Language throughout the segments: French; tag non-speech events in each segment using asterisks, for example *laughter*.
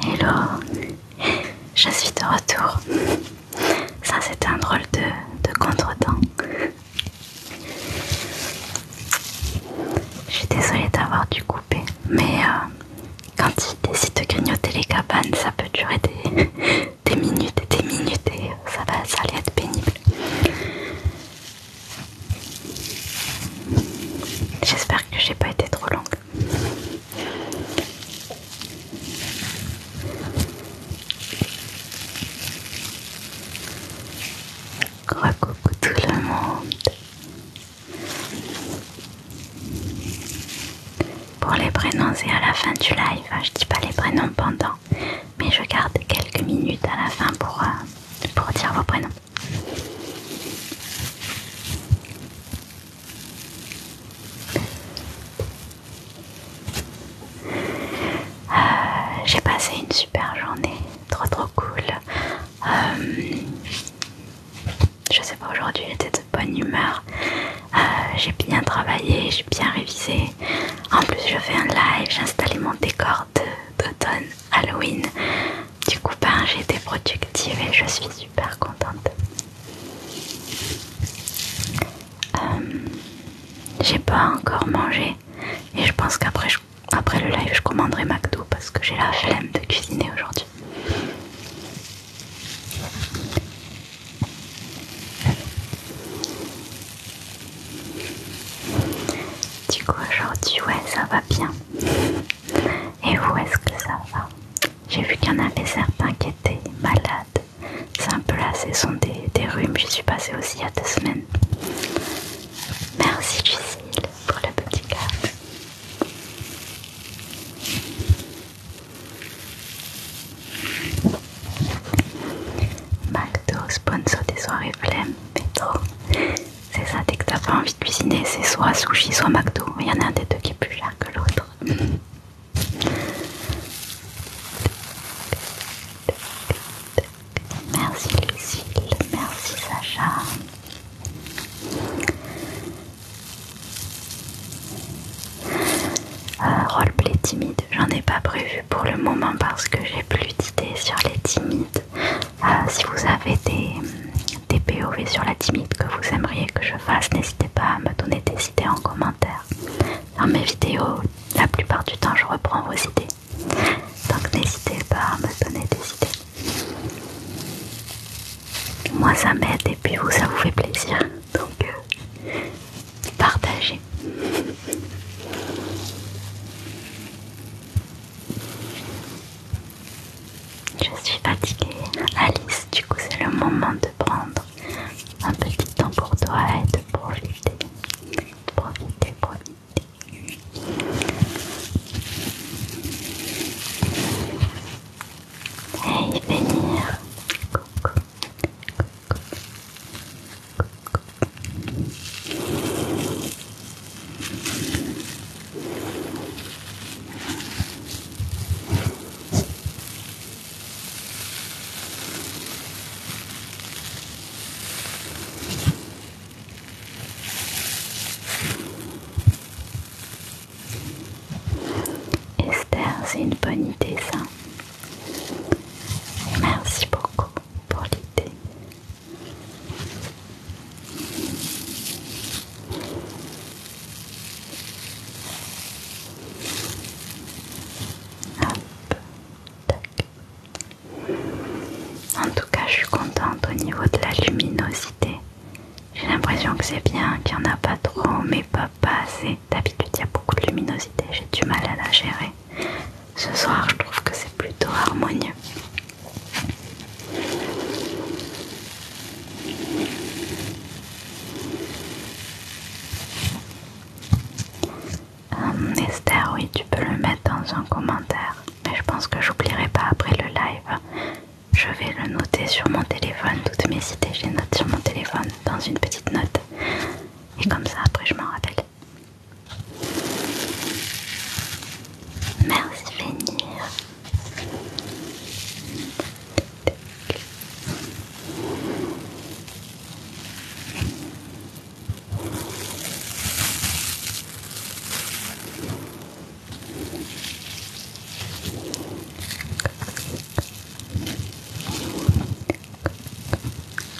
Hello, je suis de retour. Ça c'était un drôle de, contretemps. Je suis désolée d'avoir dû couper, mais euh, quand il décide de grignoter les cabanes, ça peut durer des, *laughs* des minutes et des minutes et ça va ça allait être pénible. J'espère que j'ai pas été trop longue. Coucou tout le monde. Pour les prénoms, et à la fin du live. Ah, je dis pas les prénoms pendant mais je garde quelques minutes à la fin pour, euh, pour dire vos prénoms. Euh, j'ai passé une super journée, trop trop cool. Euh, je sais pas, aujourd'hui j'étais de bonne humeur. j'ai bien travaillé, j'ai bien révisé. En plus, je fais un live, j'ai installé mon décor d'automne Halloween. Du coup, ben, j'ai été productive et je suis super contente. Euh, j'ai pas encore mangé et je pense qu'après après le live, je commanderai McDo parce que j'ai la flemme de cuisiner aujourd'hui. Du coup aujourd'hui ouais ça va bien. Et vous est-ce que ça va J'ai vu qu'il y en avait certains qui étaient malades. C'est un peu la saison des, des rhumes, j'y suis passée aussi il y a deux semaines. Merci Lucile pour le petit café. McDo, sponsor des soirées mais trop. C'est ça, dès que t'as pas envie de cuisiner, c'est soit sushi, soit McDo. Il y en a un des deux qui est plus cher que l'autre. Merci Lucille, merci Sacha. Euh, roleplay timide, j'en ai pas prévu pour le moment parce que j'ai plus d'idées sur les timides. Euh, si vous avez des, POV sur la timide que vous aimeriez que je fasse, n'hésitez pas à me donner des idées en commentaire. Dans mes vidéos, la plupart du temps, je reprends vos idées. Donc n'hésitez pas à me donner des idées. Moi ça m'aide et puis vous ça vous fait plaisir. Donc euh, partager. Je suis fatiguée, Alice. Du coup, c'est le moment de prendre un petit temps pour toi et de profiter. Profiter, profiter. Hey, venir. Esther, c'est une bonne idée ça. Merci beaucoup pour l'idée. En tout cas, je suis contente au niveau de la luminosité. J'ai l'impression que c'est bien, qu'il n'y en a pas trop, mais pas, pas assez. D'habitude, il y a beaucoup de luminosité, j'ai du mal à la gérer ce soir je trouve que c'est plutôt harmonieux. Euh, Esther, oui, tu peux le mettre dans un commentaire, mais je pense que j'oublierai pas après le live. Je vais le noter sur mon téléphone, toutes mes idées, je les note sur mon téléphone dans une petite note, et comme ça après je m'en rappelle. Merci Vénir. Voilà.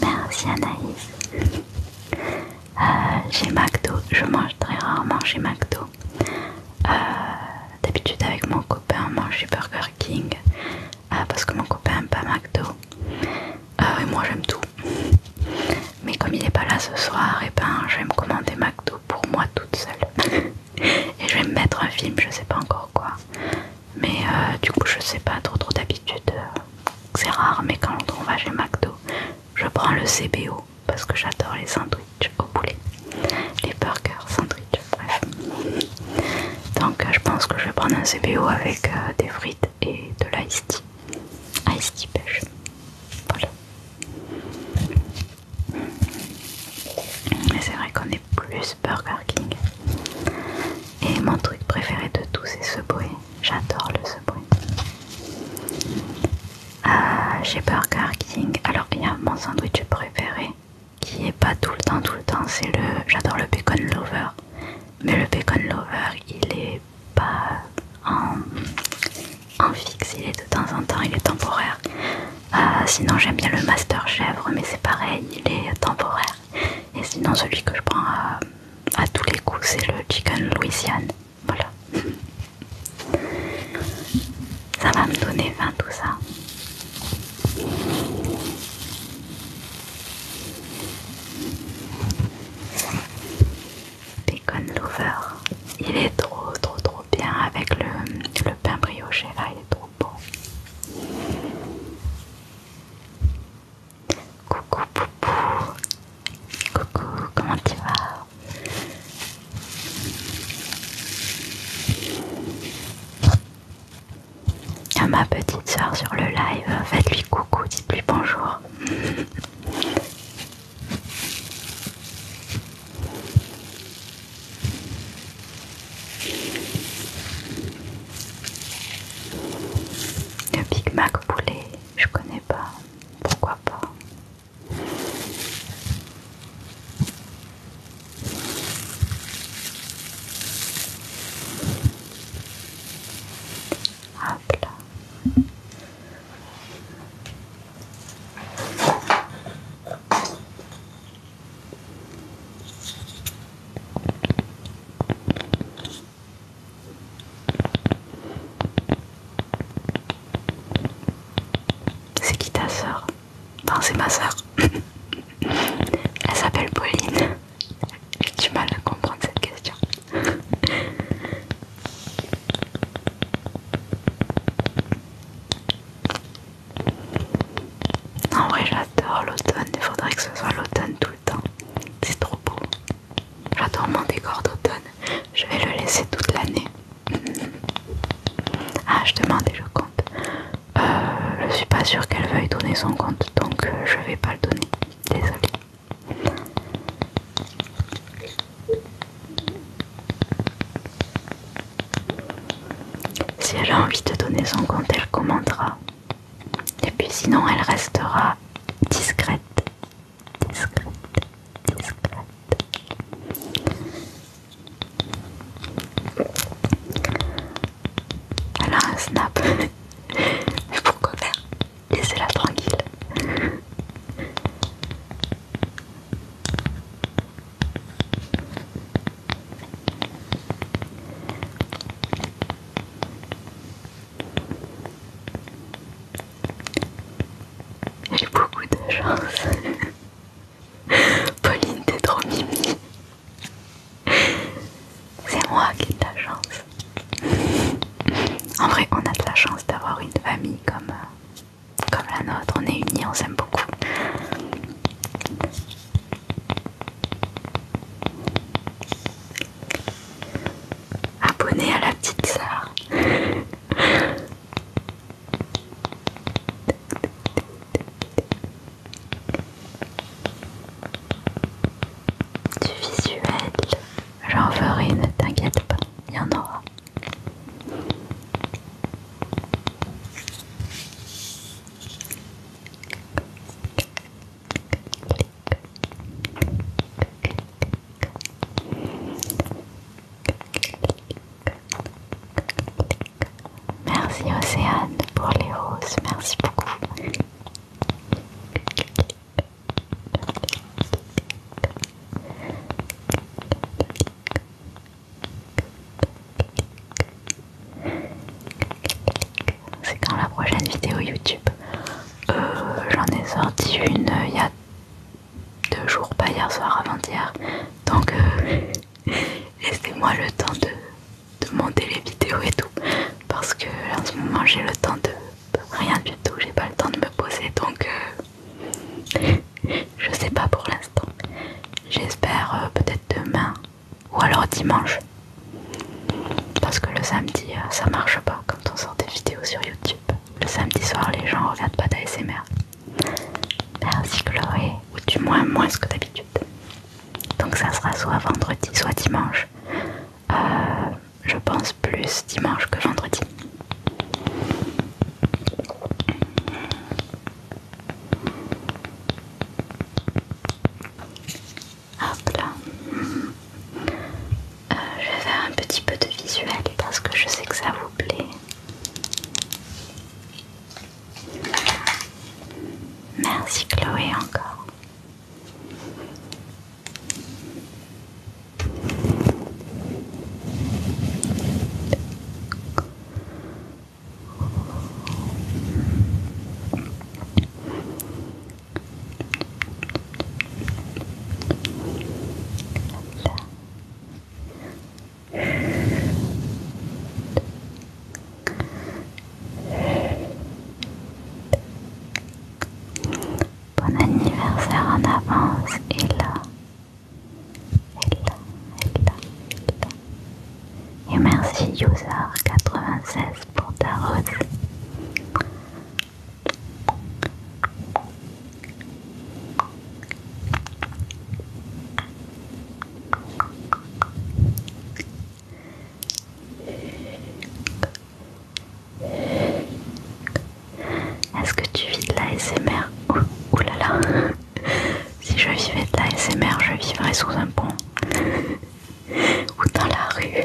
Merci Anaïs. Euh, j'ai McDo, je mange très rarement chez McDo. Euh, d'habitude avec mon copain, on mange chez Burger King euh, parce que mon copain aime pas McDo. et moi j'aime tout. Mais comme il n'est pas là ce soir, et eh ben je vais me commander McDo pour moi toute seule. *laughs* et je vais me mettre un film, je sais pas encore quoi. Mais du coup je sais pas trop trop d'habitude. C'est rare, mais quand on va chez McDo, je prends le CBO parce que j'adore les sandwichs au poulet, les burgers, sandwich bref. Donc euh, je pense que je vais prendre un CBO avec euh, des frites et de l'ice tea. Ice tea pêche. Voilà. Mais c'est vrai qu'on est plus Burger King. Et mon truc préféré de tous, c'est ce bruit. J'adore le ce bruit. chez ah, Burger King, alors il y a mon sandwich préféré qui est pas tout le temps, tout le temps, c'est le. J'adore le bacon lover, mais le bacon lover il est pas en, fixe, il est de temps en temps, il est temporaire. Ah, sinon, j'aime bien le master chèvre, mais c'est pareil, il est temporaire. Et sinon, celui que je prends euh, à tous les coups c'est le chicken Louisiane. Voilà. Ça va me donner faim tout ça. Bacon Lover. Il est trop trop trop bien avec le, pain brioché là, il est trop beau Coucou Poupou. Coucou, comment tu vas à ma petite soeur sur le live, faites-lui coucou, dites-lui bonjour. Le Big Mac poulet, je connais pas. Pourquoi pas c'est qui ta sœur Non, c'est ma sœur. *laughs* Elle s'appelle Pauline. J'ai du mal à comprendre cette question. *laughs* En vrai, j'adore l'automne. Il faudrait que ce soit l'automne tous c'est trop beau. J'adore mon décor d'automne. Je vais le laisser toute l'année. ah, je demande et je compte. Euh, je suis pas sûre qu'elle veuille donner son compte, donc euh, je vais pas le donner. Désolée. Si elle a envie de donner son compte, elle commentera. Et puis sinon, elle restera discrète. Discrète, discrète. Elle a un snap. Mais *laughs* pourquoi faire Laissez-la tranquille. J'ai beaucoup de chance. *laughs* Pauline, t'es trop mimi. C'est moi qui ai de la chance. En vrai, on a de la chance d'avoir une famille comme, euh, comme la nôtre. On est unis, on s'aime beaucoup. Abonné à la petite sœur. Du visuel, j'en ferai, ne t'inquiète pas, il y en aura. Merci Océane pour les roses, merci beaucoup. C'est quand la prochaine vidéo YouTube euh, j'en ai sorti une euh, il y a deux jours, pas hier soir, avant-hier. Donc euh, *laughs* laissez-moi le temps de, monter les vidéos et tout. Parce que en ce moment j'ai le temps de rien du tout, j'ai pas le temps de me poser donc *laughs* je sais pas pour l'instant. J'espère peut-être demain ou alors dimanche parce que le samedi, euh, ça marche pas quand on sort des vidéos sur YouTube. Le samedi soir, les gens regardent pas d'ASMR. Merci Chloé, ou du moins moins que d'habitude. Donc ça sera soit vendredi, soit dimanche. Euh, je pense plus dimanche que vendredi. Hop là. Euh, je vais faire un petit peu de visuel parce que je sais que ça vous plaît. Merci Chloé encore. Bon anniversaire en avance et là, et merci 96 pour ta rose. Est-ce que tu vis de la SMR Ouh là là *laughs* Si je vivais de la SMR, je vivrais sous un pont *laughs* ou dans la rue.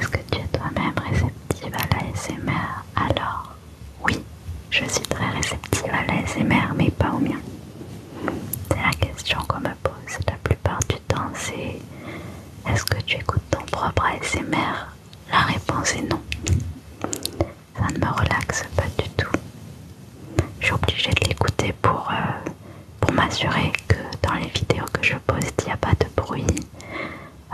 Est-ce que tu es toi-même réceptive à l'ASMR Alors, oui, je suis très réceptive à l'ASMR, mais pas au mien. C'est la question qu'on me pose la plupart du temps danser. est-ce que tu écoutes ton propre ASMR La réponse est non. Ça ne me relaxe pas du tout. Je suis obligée de l'écouter pour, euh, pour m'assurer que dans les vidéos que je poste, il n'y a pas de bruit,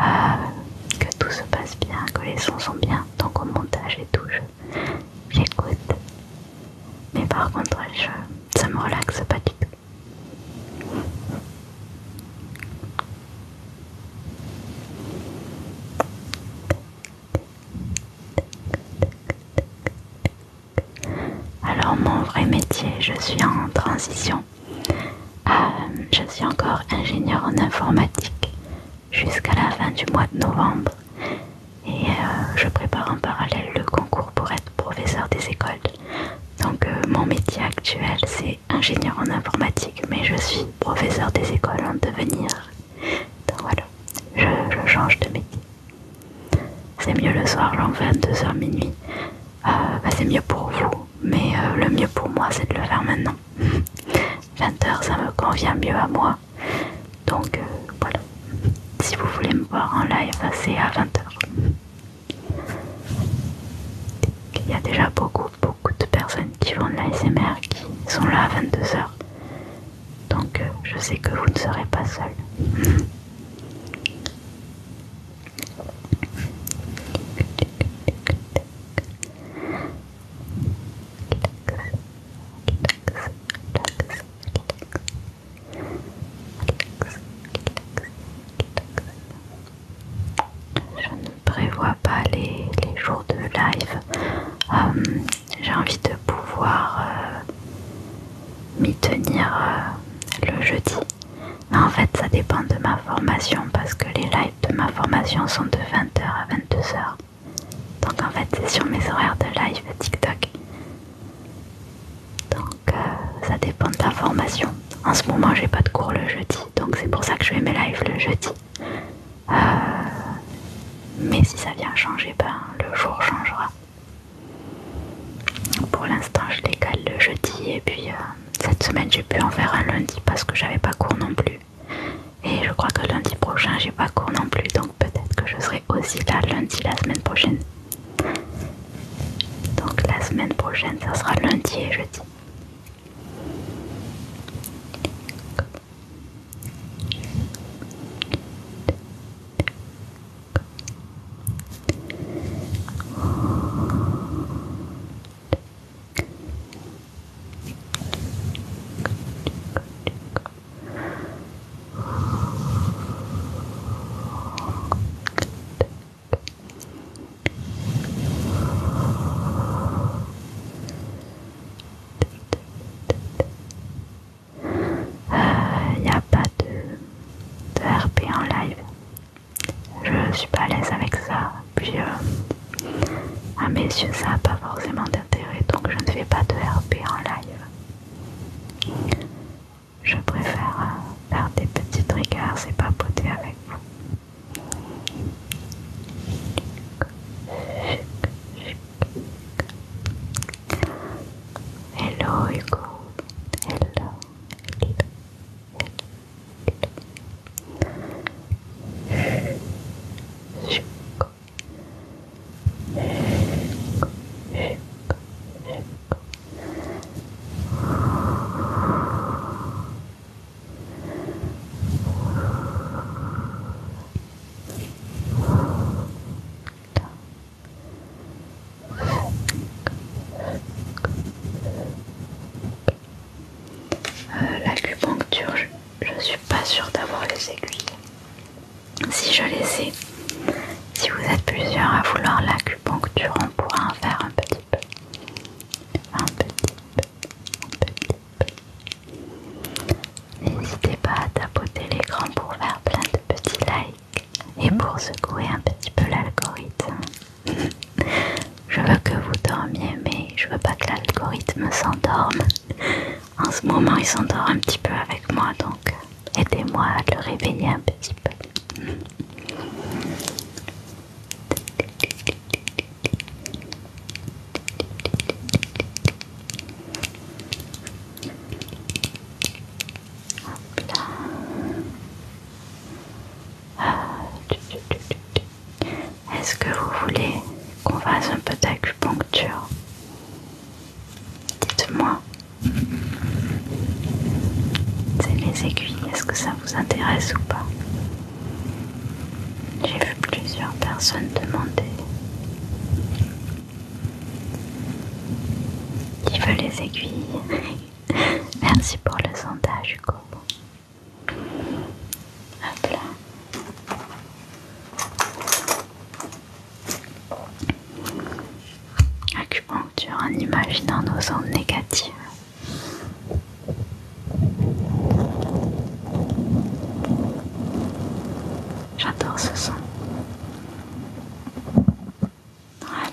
euh, que tout se passe bien, que les sons sont bien. Donc au montage et tout, j'écoute. Mais par contre, ça me relaxe pas du tout. Alors mon vrai métier, je suis en transition. Euh, je suis encore ingénieur en informatique jusqu'à la fin du mois de novembre et euh, je prépare en parallèle le concours pour être professeur des écoles donc euh, mon métier actuel c'est ingénieur en informatique mais je suis professeur des écoles en devenir. Donc voilà, je, change de métier. C'est mieux le soir, à 22h minuit. Euh, bah, c'est mieux pour vous, mais euh, le mieux pour moi c'est de le faire maintenant. 20h *laughs* ça me convient mieux à moi. Donc voilà, si vous voulez me voir en live c'est à 20h. Il y a déjà beaucoup, beaucoup de personnes qui vont de l'ASMR qui sont là à 22h. Donc euh, je sais que vous ne serez pas seul. Je ne prévois pas les, jours de live. Euh, j'ai envie de pouvoir euh, m'y tenir euh, le jeudi. en fait, ça dépend de ma formation parce que les lives de ma formation sont de 20h à 22h. Donc en fait, c'est sur mes horaires de live TikTok. Donc euh, ça dépend de la formation. En ce moment j'ai pas de cours le jeudi, donc c'est pour ça que je fais mes lives le jeudi. Euh, mais si ça vient changer, ben le jour changera. Pour l'instant je décale le jeudi et puis euh, cette semaine j'ai pu en faire un lundi parce que j'avais pas cours non plus. Et je crois que lundi prochain j'ai pas cours non plus, donc peut-être que je serai aussi là lundi la semaine prochaine. Donc la semaine prochaine, ça sera lundi et jeudi. Il euh, n'y a pas de, RP en live. Je suis pas à l'aise avec ça. Puis euh, à mes yeux, ça n'a pas forcément d'intérêt. Donc je ne fais pas de RP en live. Je préfère euh, faire des petits triggers et papoter avec vous. Hello Hugo. Hello. Hello. Hello. Euh, l'acupuncture, je, ne suis pas sûre d'avoir les aiguilles. Si je les ai, si vous êtes plusieurs à vouloir l'acupuncture, on pourra en faire un petit N'hésitez pas à tapoter l'écran pour faire plein de petits likes et pour secouer un petit peu l'algorithme. je veux que vous dormiez, mais je veux pas que l'algorithme s'endorme. En ce moment, il s'endort un petit peu avec moi, donc aidez-moi à le réveiller un petit peu. Est-ce que vous voulez qu'on fasse un peu d'acupuncture Dites-moi. C'est les aiguilles, est-ce que ça vous intéresse ou pas. J'ai vu plusieurs personnes demander qui veut les aiguilles. *laughs* Merci pour le sondage, Hugo. Hop là. Acupuncture en imaginant nos ondes négatives. J'adore ce son. Voilà.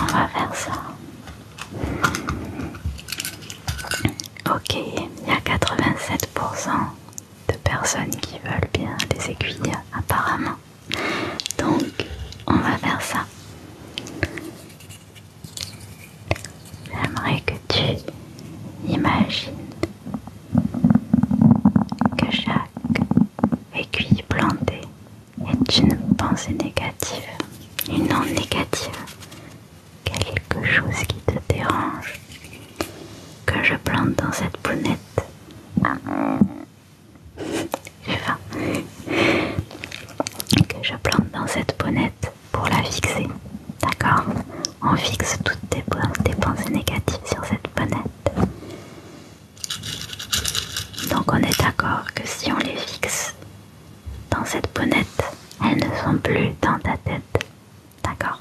On va faire ça. Ok, il y a 87% de personnes qui veulent bien des aiguilles apparemment. Donc on va faire ça. J'aimerais que tu imagines que chaque aiguille plantée est une pensée négative, une onde négative, quelque chose qui te dérange, que je plante dans cette bonnette Que je plante dans cette bonnette pour la fixer. D'accord On fixe toutes tes, tes pensées négatives sur cette bonnette. Donc on est d'accord que si on les fixe dans cette bonnette, elles ne sont plus dans ta tête. D'accord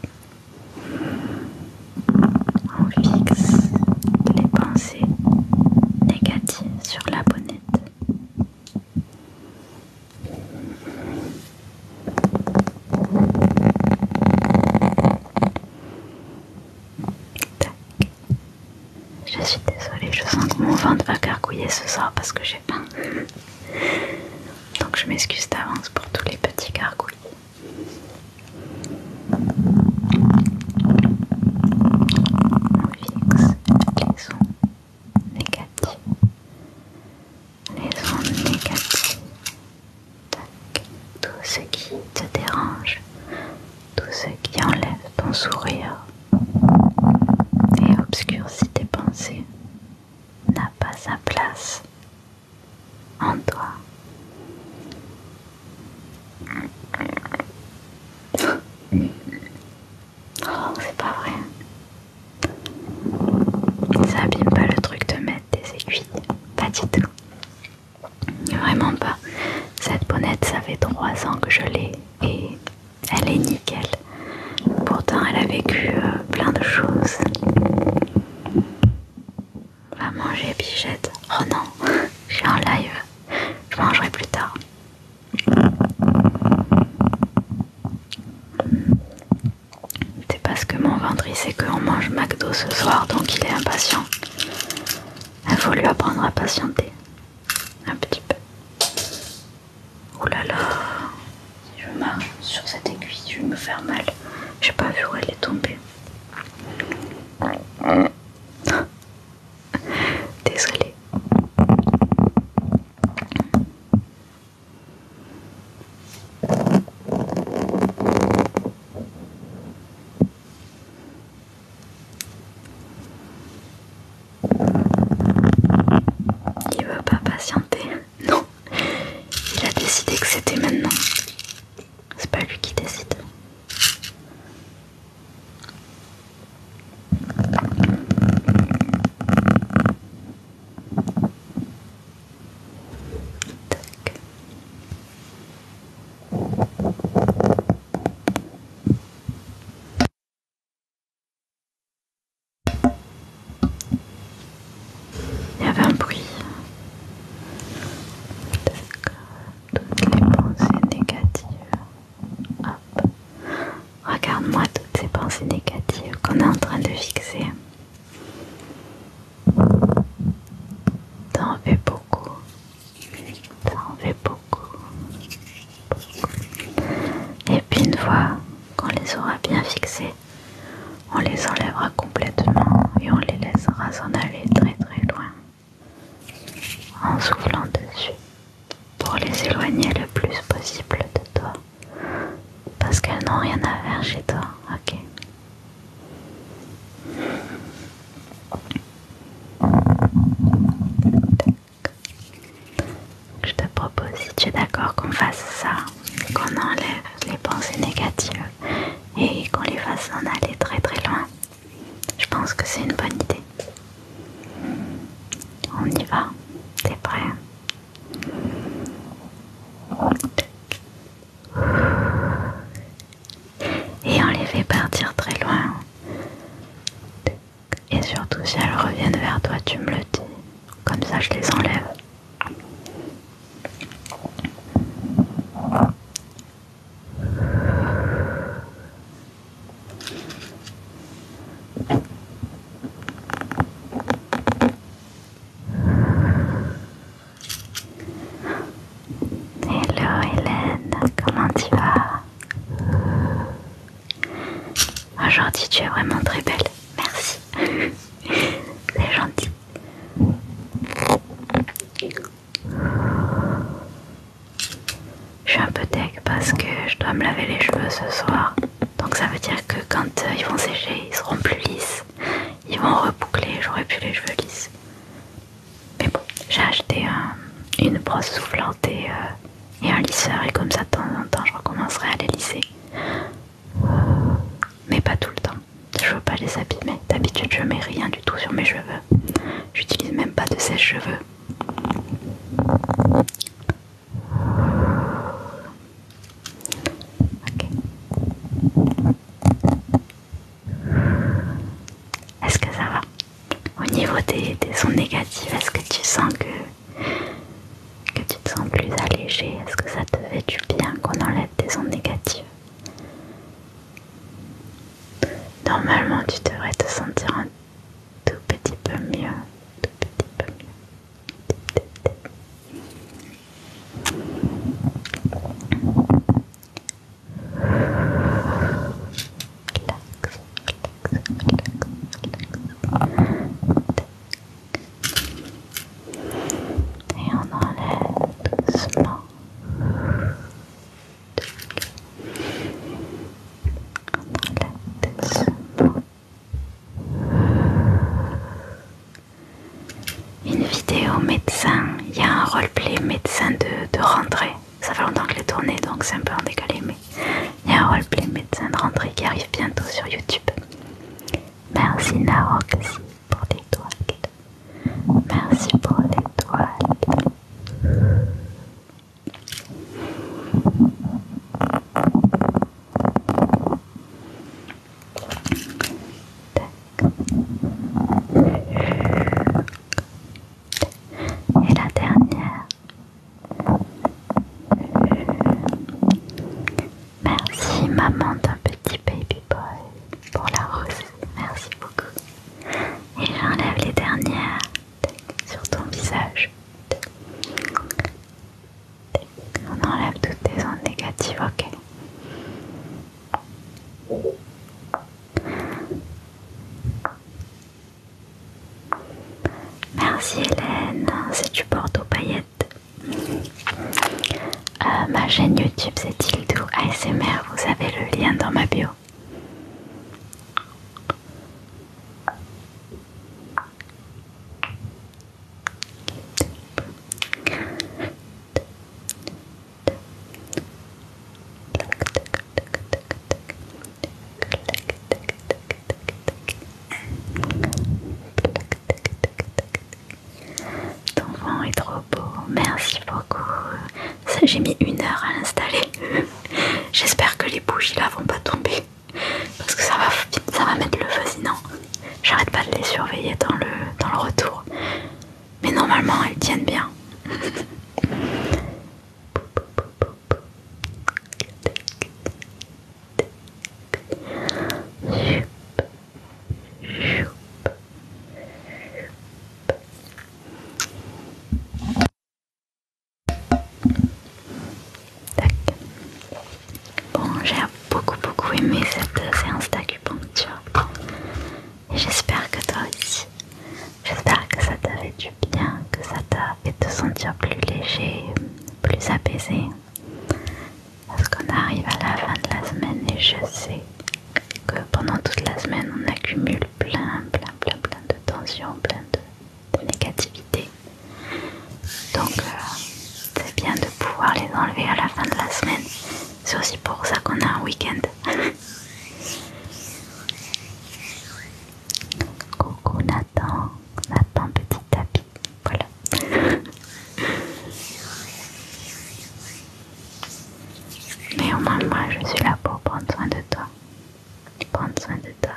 on fixe les pensées négatives sur la bonnette. Tac. Je suis désolée, je sens que mon ventre va gargouiller ce soir parce que j'ai faim. Donc je m'excuse d'avance pour tous les petits gargouillis. On fixe les Les ondes négatives. Tout ce qui te dérange. Tout ce qui enlève ton sourire et obscurcit tes pensées n'a pas sa place en toi. Oh, c'est pas vrai. Ça abîme pas le truc de mettre des aiguilles. Pas du tout. Vraiment pas. Cette bonnette, ça fait trois ans que je l'ai et elle est nickel. Pourtant, elle a vécu euh, plein de choses. Va manger Bichette. Oh non, *laughs* je suis en live. Je mangerai plus tard. C'est parce que mon ventre il sait qu'on mange McDo ce soir donc il est impatient. Il faut lui apprendre à patienter. Un petit peu. Oh là là. Si je marche sur cette aiguille, je vais me faire mal. J'ai pas vu où elle est tombée. *gasps* Désolé. Il veut pas patienter. Non, il a décidé que c'était maintenant. C'est pas lui qui décide. Il y avait un bruit. Toutes les pensées négatives. Hop. Regarde-moi toutes ces pensées négatives qu'on est en train de fixer. T'en fais beaucoup. T'en fais beaucoup. Et puis une fois qu'on les aura bien fixées on les enlèvera complètement et on les laissera s'en aller très très loin en soufflant dessus pour les éloigner le plus possible de toi parce qu'elles n'ont rien à faire chez toi, ok je te propose, si tu es d'accord, qu'on fasse ça, qu'on enlève les pensées négatives et qu'on les fasse en aller très très loin. Je pense que c'est une bonne idée. On y va, t'es prêt Et on les fait partir très loin. Et surtout si elles reviennent vers toi, tu me le dis. Comme ça, je les enlève. Hello Hélène, comment tu vas Aujourd'hui tu es vraiment très belle, merci. *laughs* C'est gentil. Je suis un peu tech parce que je dois me laver les cheveux ce soir. Donc ça veut dire que quand euh, ils vont sécher, ils seront plus lisses. Ils vont reboucler, j'aurai plus les cheveux lisses. Mais bon, j'ai acheté une brosse soufflante et, euh, et un lisseur et comme ça de temps en temps je recommencerai à les lisser. Mais pas tout le temps. Je ne veux pas les abîmer. D'habitude, je mets rien du tout sur mes cheveux. J'utilise même pas de sèche-cheveux. Ok. Est-ce que ça va Au niveau des, des sons négatives est-ce que tu sens que, que tu te sens plus allégé Est-ce que ça te fait du bien qu'on enlève des ondes négatives Normalement, tu devrais te sentir un tout petit peu mieux. Tout petit peu mieux. Relax, relax, relax, relax. Et on enlève doucement une vidéo médecin, il y a un roleplay médecin de, rentrée. Ça fait longtemps que les tourné, donc c'est un peu en décalé, mais il y a un roleplay médecin de rentrée qui arrive bientôt sur YouTube. Merci Naroxy pour l'étoile. Merci pour les l'étoile. Et la dernière. Merci maman d'un petit baby boy pour la rose merci beaucoup. Et j'enlève les dernières sur ton visage. On enlève toutes tes ondes négatives, ok. Merci Hélène, c'est du aux paillettes. Euh, ma chaîne YouTube c'est ildo ASMR, vous avez le lien dans ma bio. Ton vent est trop beau, merci beaucoup. j'ai mis une heure à l'installer. *laughs* J'espère que les bougies là vont pas tomber. Parce que ça va, mettre le feu J'arrête pas de les surveiller dans le, dans le retour. Mais normalement elles tiennent bien. *laughs* Bon, j'ai beaucoup beaucoup aimé cette séance d'acupuncture et j'espère que toi aussi. J'espère que ça t'a fait du bien, que ça t'a fait te sentir plus léger, plus apaisé. Parce qu'on arrive à la fin de la semaine et je sais que pendant toute la semaine on accumule plein, plein, plein, plein de tensions, plein de, négativités Donc euh, c'est bien de pouvoir les enlever à la fin de la semaine. C'est aussi pour ça qu'on a un week-end. *laughs* Coucou Nathan, Nathan petit tapis, voilà. *laughs* moins moi, je suis là pour prendre soin de toi. Prendre soin de toi.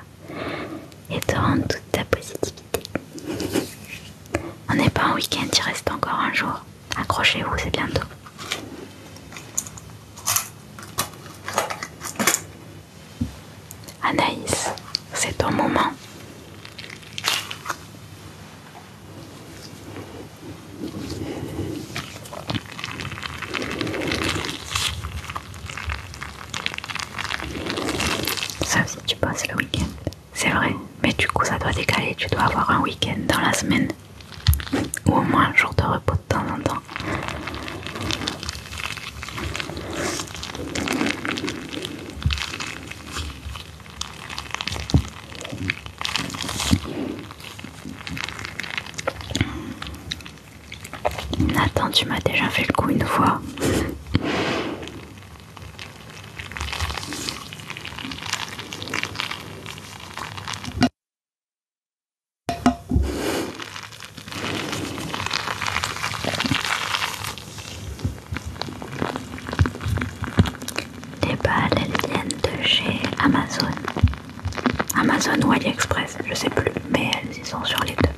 Et te rendre toute ta positivité. On n'est pas en week-end, il reste encore un jour. Accrochez-vous, c'est bientôt. Anaïs, c'est ton moment. Sauf si tu passes le week-end. C'est vrai, mais du coup ça doit décaler, tu dois avoir un week-end dans la semaine. Ou au moins un jour de repos de temps en temps. Nathan, tu m'as déjà fait le coup une fois. Les balles, elles viennent de chez Amazon. Amazon ou AliExpress, je sais plus, mais elles y sont sur les deux.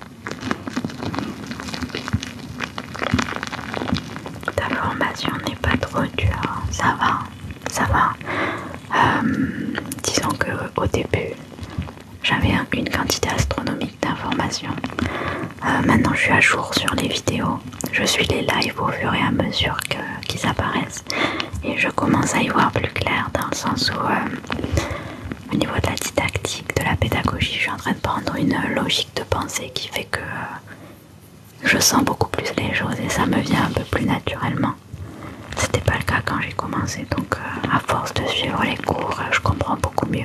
Ta n'est pas trop dure, hein. ça va, ça va. Euh, disons que au début, j'avais une quantité astronomique d'informations. Euh, maintenant, je suis à jour sur les vidéos. Je suis les lives au fur et à mesure qu'ils apparaissent et je commence à y voir plus clair dans le sens où euh, au niveau de la didactique, de la pédagogie, je suis en train de prendre une logique de pensée qui fait que euh, je sens beaucoup plus les choses et ça me vient un peu plus naturellement. C'était pas le cas quand j'ai commencé, donc euh, à force de suivre les cours, je comprends beaucoup mieux.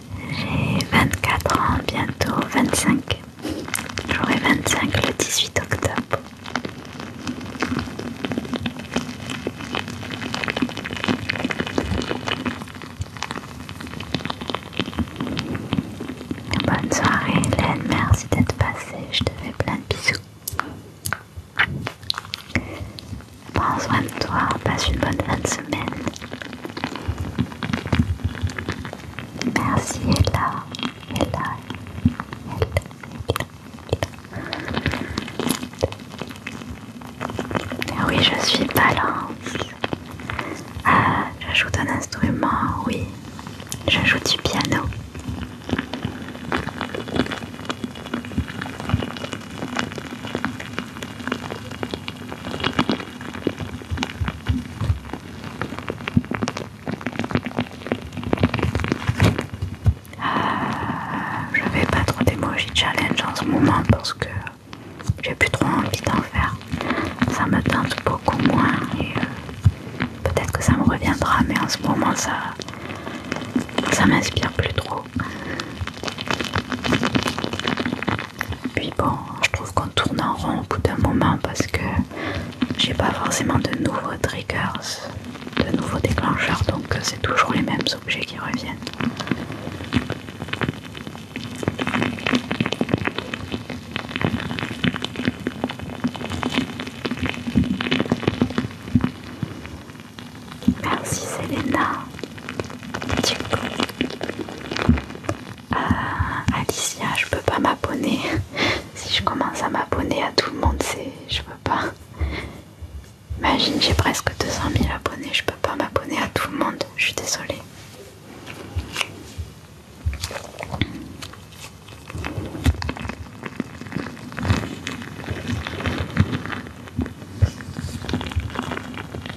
J'ai 24 ans, bientôt 25. J'aurai 25 le 18 octobre. Bonne soirée Hélène, merci d'être passée, je te fais plein de bisous. Prends soin de toi, passe une bonne fin de semaine. Merci Ella, Ella, ah Oui, je suis balance. Ah, j'ajoute un instrument, oui. j'ajoute du piano. Ah, je fais pas trop d'emoji challenge en ce moment parce que j'ai plus trop envie d'en faire. Ça me tente beaucoup moins et euh, peut-être que ça me reviendra, mais en ce moment ça, ça m'inspire plus trop. Puis bon, je trouve qu'on tourne en rond au bout d'un moment parce que j'ai pas forcément de nouveaux triggers, de nouveaux déclencheurs, donc c'est toujours les mêmes objets qui reviennent. Merci Selena. Euh, Alicia, je peux pas m'abonner. *laughs* si je commence à m'abonner à tout le monde, c'est, je peux pas. Imagine, j'ai presque 200 000 abonnés, je peux pas m'abonner à tout le monde. Je suis désolée.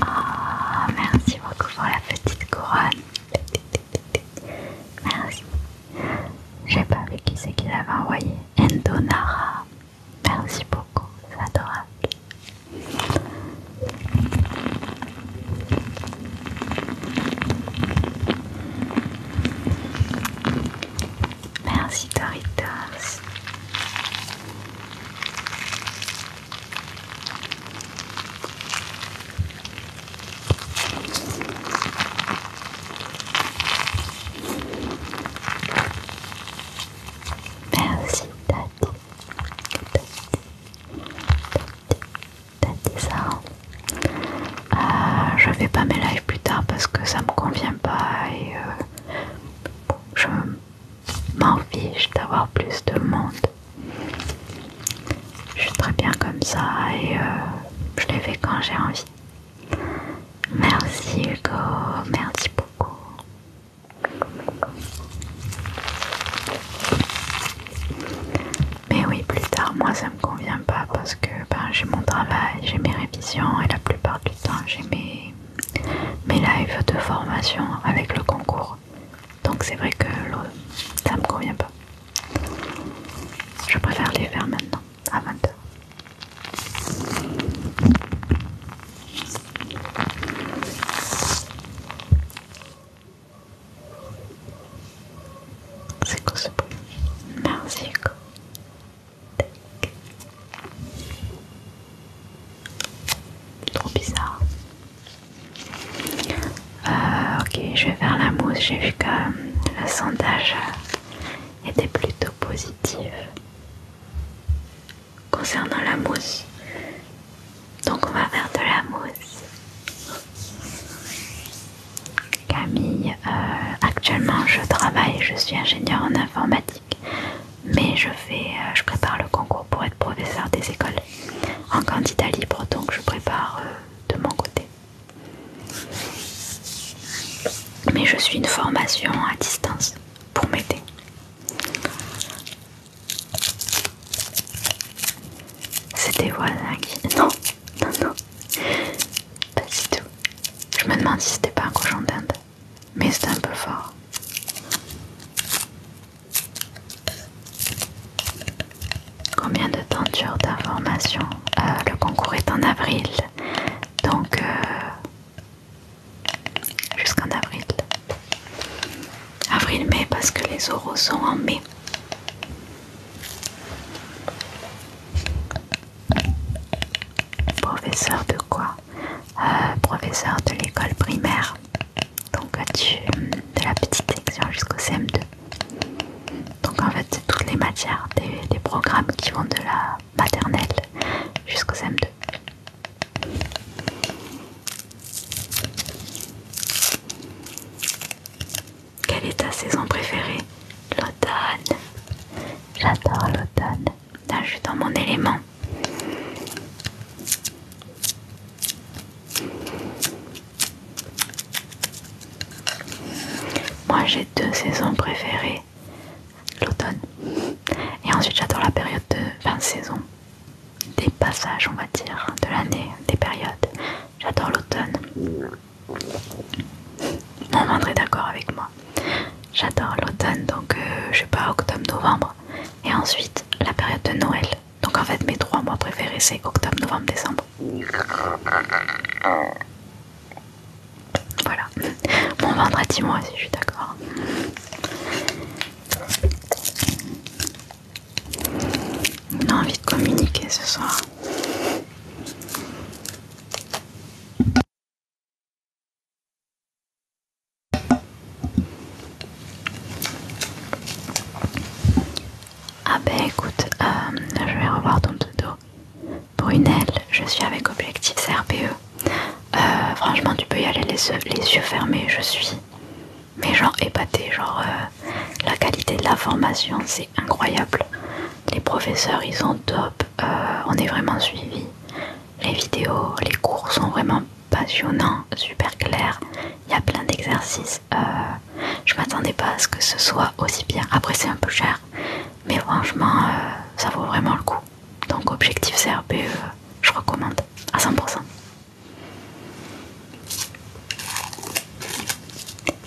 Oh, merci beaucoup pour la petite couronne. Merci. J'ai pas vu qui c'est qui l'avait envoyé. Endonara. Merci beaucoup, c'est adorable. Merci Doritos. Merci Tati. Euh, je fais pas mes lives plus tard parce que ça me convient pas et euh, je m'en fiche d'avoir plus de monde. Je suis très bien comme ça et euh, je les fais quand j'ai envie. Merci Hugo, merci beaucoup. Mais oui, plus tard, moi ça me convient pas parce que ben, j'ai mon travail, j'ai mes révisions et la plupart du temps j'ai mes, mes lives de formation avec le concours. Donc c'est vrai que ça me convient pas. Je préfère les faire maintenant, à 20h. C'est quoi ce bruit Merci Trop bizarre. Euh, ok, je vais faire la mousse. J'ai vu que euh, le sondage euh, était plutôt positif concernant la mousse. Donc on va faire de la mousse. Camille, euh, actuellement je travaille, je suis ingénieur en informatique, mais je fais, euh, je prépare le concours pour être professeur des écoles en candidat libre, donc je prépare euh, de mon côté. Mais je suis une formation à distance pour m'aider. C'était des qui... Non, non, non. Pas du tout. Je me demande si c'était pas un cochon d'Inde. Mais c'était un peu fort. Combien de temps dure ta euh, Le concours est en avril. Donc... Euh, jusqu'en avril. Avril-mai parce que les oraux sont en mai. Professeur de quoi euh, Professeur de l'école primaire. Donc euh, de la petite section jusqu'au CM2. Donc en fait c'est toutes les matières, des, des programmes qui vont de la maternelle jusqu'au CM2. Quelle est ta saison préférée L'automne. J'adore l'automne. Là, je suis dans mon élément. Moi, j'ai deux saisons préférées l'automne. Et ensuite, j'adore la période de fin de saison des passages, on va dire, de l'année, des périodes. J'adore l'automne. Mon ventre est d'accord avec moi. J'adore l'automne, donc euh, je sais pas, octobre-novembre. Et ensuite, la période de Noël. Donc en fait, mes trois mois préférés, c'est octobre, novembre, décembre. Voilà. Mon ventre a dit moi si je suis d'accord. On a envie de communiquer ce soir. Ah ben écoute, euh, je vais revoir ton dodo. Brunel, je suis avec Objectif CRPE. Euh, franchement, tu peux y aller les les yeux fermés, je suis mais genre épaté, euh, genre la qualité de la formation c'est incroyable. Les professeurs ils sont top, euh, on est vraiment suivi. Les vidéos, les cours sont vraiment passionnants, super clairs. Il y a plein d'exercices. je euh, je m'attendais pas à ce que ce soit aussi bien. Après c'est un peu cher, mais franchement ça vaut vraiment le coup. Donc objectif CRPE, je recommande à 100%.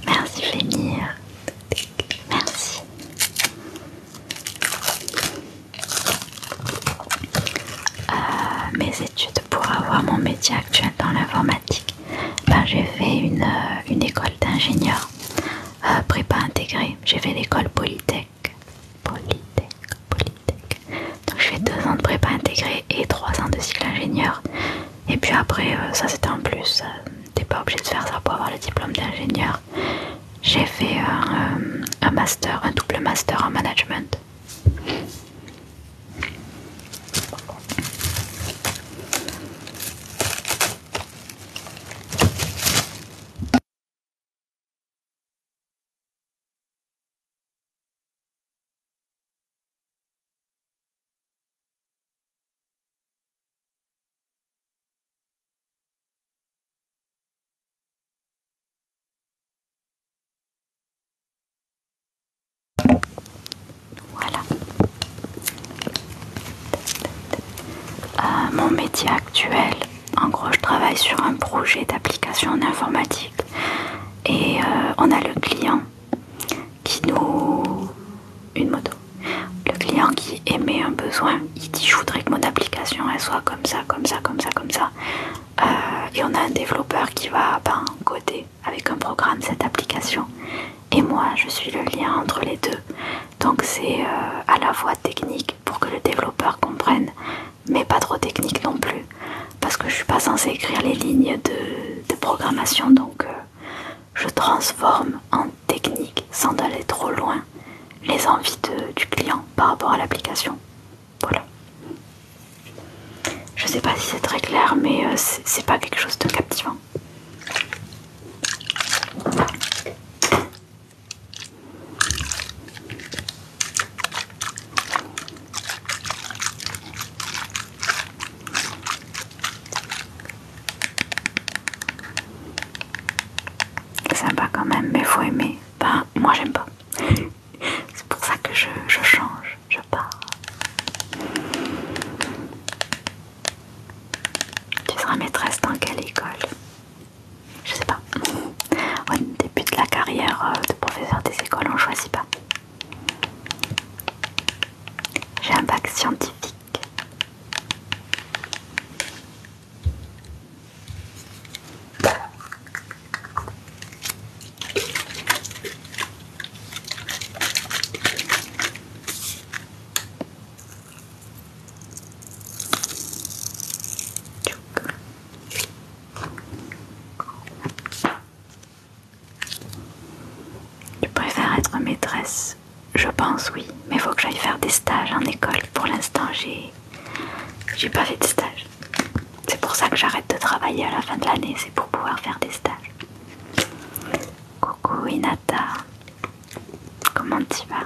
Merci Flémir. Merci. Euh, mes études pour avoir mon métier actuel dans l'informatique. Ben, j'ai fait une, euh, école d'ingénieur euh, prépa intégrée. J'ai fait l'école Polytech. Polytech. Polytech. Donc je fais deux ans de prépa intégrée et trois ans de cycle ingénieur. Et puis après, euh, ça c'était en plus, euh, t'es pas obligé de faire ça pour avoir le diplôme d'ingénieur. J'ai fait un euh, master, un double master en management. Voilà. Euh, mon métier actuel, en gros, je travaille sur un projet d'application en informatique et euh, on a le client qui nous une moto le client qui émet un besoin il dit je voudrais que mon application soit comme ça comme ça comme ça comme ça euh, et on a un développeur qui va ben, coder avec un programme cette application et moi je suis le lien entre les deux donc c'est euh, à la fois technique pour que le développeur comprenne mais pas trop technique non plus, parce que je suis pas censée écrire les lignes de, programmation, donc euh, je transforme en technique sans aller trop loin les envies du client par rapport à l'application. Voilà. Je sais pas si c'est très clair, mais euh, c'est pas quelque chose de captivant. Sympa quand même, mais faut aimer. Ben, moi j'aime pas. *laughs* C'est pour ça que je, je change, je pars. Tu seras maîtresse dans quelle école Je sais pas. Au début de la carrière euh, de professeur des écoles, on choisit pas. J'ai un bac scientifique. Tu préfère être maîtresse Je pense oui, mais il faut que j'aille faire des stages en école. Pour l'instant, j'ai j'ai pas fait de stage. C'est pour ça que j'arrête de travailler à la fin de l'année, c'est pour pouvoir faire des stages. Coucou Inata, comment tu vas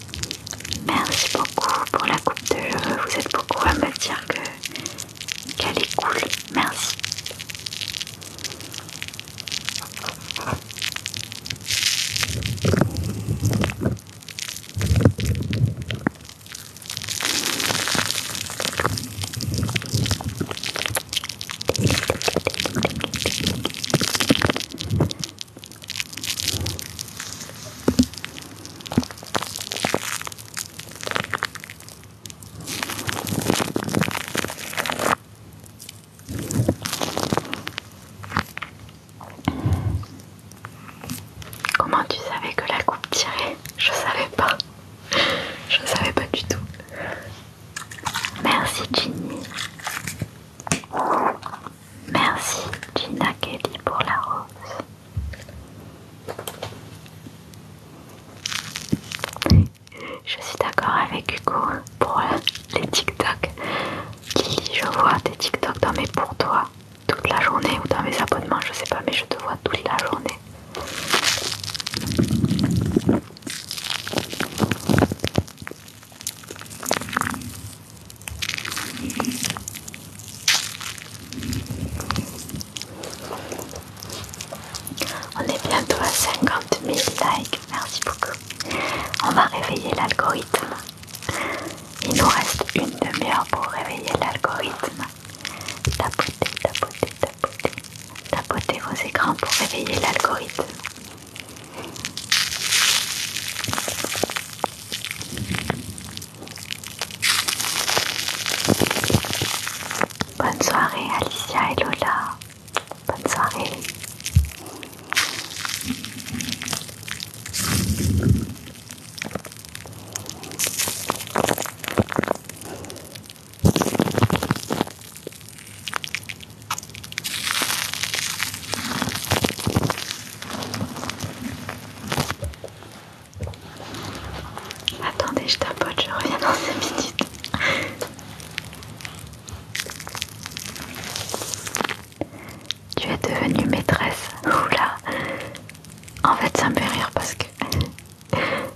Merci beaucoup pour la coupe de Vous êtes beaucoup à me dire qu'elle est cool. Merci. Comment tu savais que la coupe tirait Je savais pas. Je savais pas du tout. Merci Ginny. Merci Gina Kelly pour la rose. Je suis d'accord avec Hugo pour les TikTok. Kelly, je vois des TikTok dans mes pour toi toute la journée ou dans mes abonnements, je sais pas, mais je te vois toute la journée. On est bientôt à 50 000 likes, merci beaucoup. On va réveiller l'algorithme. Il nous reste une demi-heure pour réveiller l'algorithme. Tapotez, tapotez, tapotez. Tapotez vos écrans pour réveiller l'algorithme. Bonne soirée Alicia et Lola. Bonne soirée. Attendez, je tapote, je reviens dans 5 minutes. tu es devenue maîtresse. Oula. En fait, ça me fait rire parce que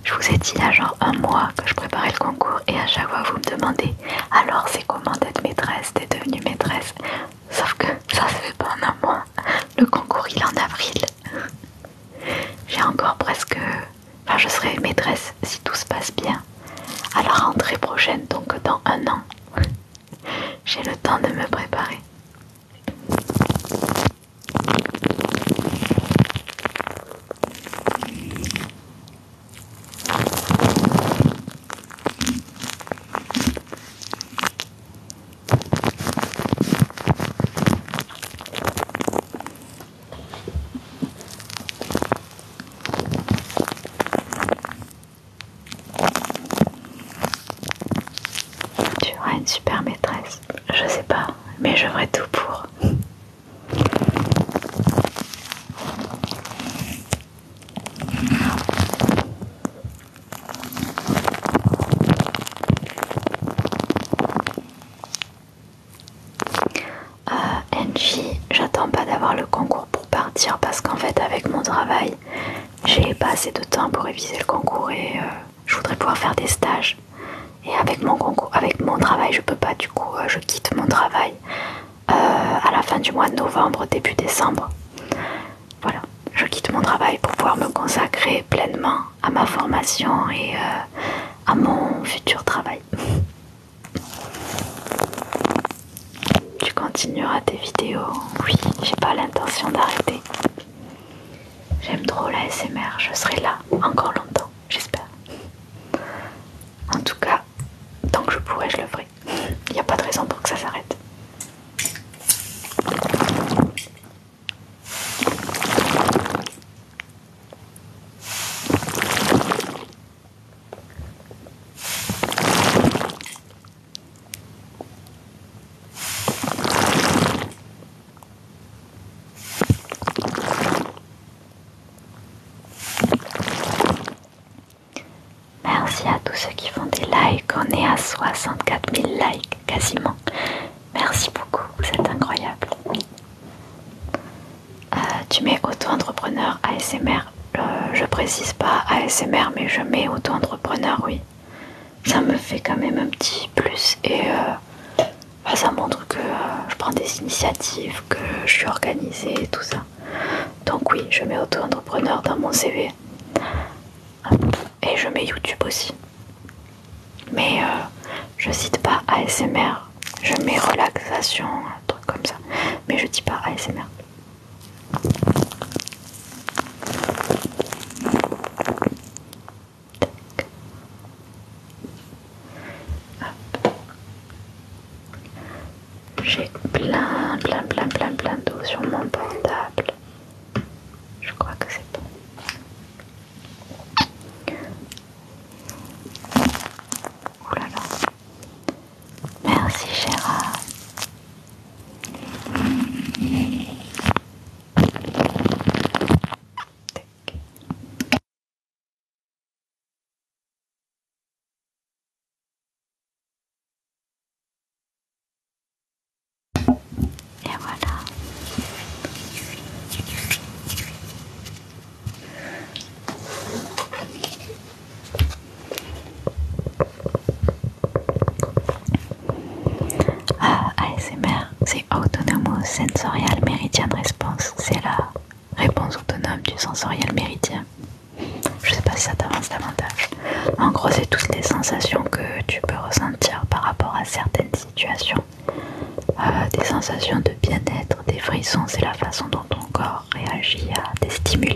je vous ai dit il y a genre un mois que je préparais le concours et à chaque fois vous me demandez alors c'est comment d'être maîtresse, t'es devenue maîtresse. Sauf que ça se fait pas en un mois. Le concours il est en avril. J'ai encore presque... Enfin je serai maîtresse si tout se passe bien à la rentrée prochaine, donc dans un an. J'ai le temps de me préparer. Tu auras une super maîtresse, je sais pas, mais je ferai tout pour. Angie, euh, j'attends pas d'avoir le concours pour partir parce qu'en fait avec mon travail, j'ai pas assez de temps pour réviser le concours et euh, je voudrais pouvoir faire des stages. Et avec mon concours, avec mon travail, je peux pas du coup, euh, je quitte mon travail euh, à la fin du mois de novembre, début décembre. Voilà, je quitte mon travail pour pouvoir me consacrer pleinement à ma formation et euh, à mon futur travail. *laughs* Tu continueras tes vidéos Oui, j'ai pas l'intention d'arrêter. J'aime trop la SMR, je serai là encore longtemps, j'espère. En tout cas, tant que je pourrai, je le ferai. Il n'y a pas de raison pour que ça s'arrête. Merci à tous ceux qui font des likes. On est à 64 000 likes quasiment. Merci beaucoup, c'est incroyable. Euh, tu mets auto-entrepreneur ASMR. Euh, je précise pas ASMR, mais je mets auto-entrepreneur, oui. Ça me fait quand même un petit plus et euh, bah, ça montre que je prends des initiatives, que je suis organisée et tout ça. Donc oui, je mets auto-entrepreneur dans mon CV et je mets YouTube aussi. Mais euh, je cite pas ASMR, je mets relaxation, un truc comme ça. Mais je dis pas ASMR. J'ai plein, plein, plein, plein, plein d'eau sur mon portable. Je crois que c'est bon. Oh Merci Gérard. Et voilà. Ah, ASMR, c'est Autonomous Sensorial Meridian Response. C'est la réponse autonome du sensoriel méridien. Je sais pas si ça t'avance davantage. En gros, c'est toutes les sensations que tu peux ressentir par rapport à certaines situations. Euh, des sensations de bien-être, des frissons, c'est la façon dont ton corps réagit à des stimuli.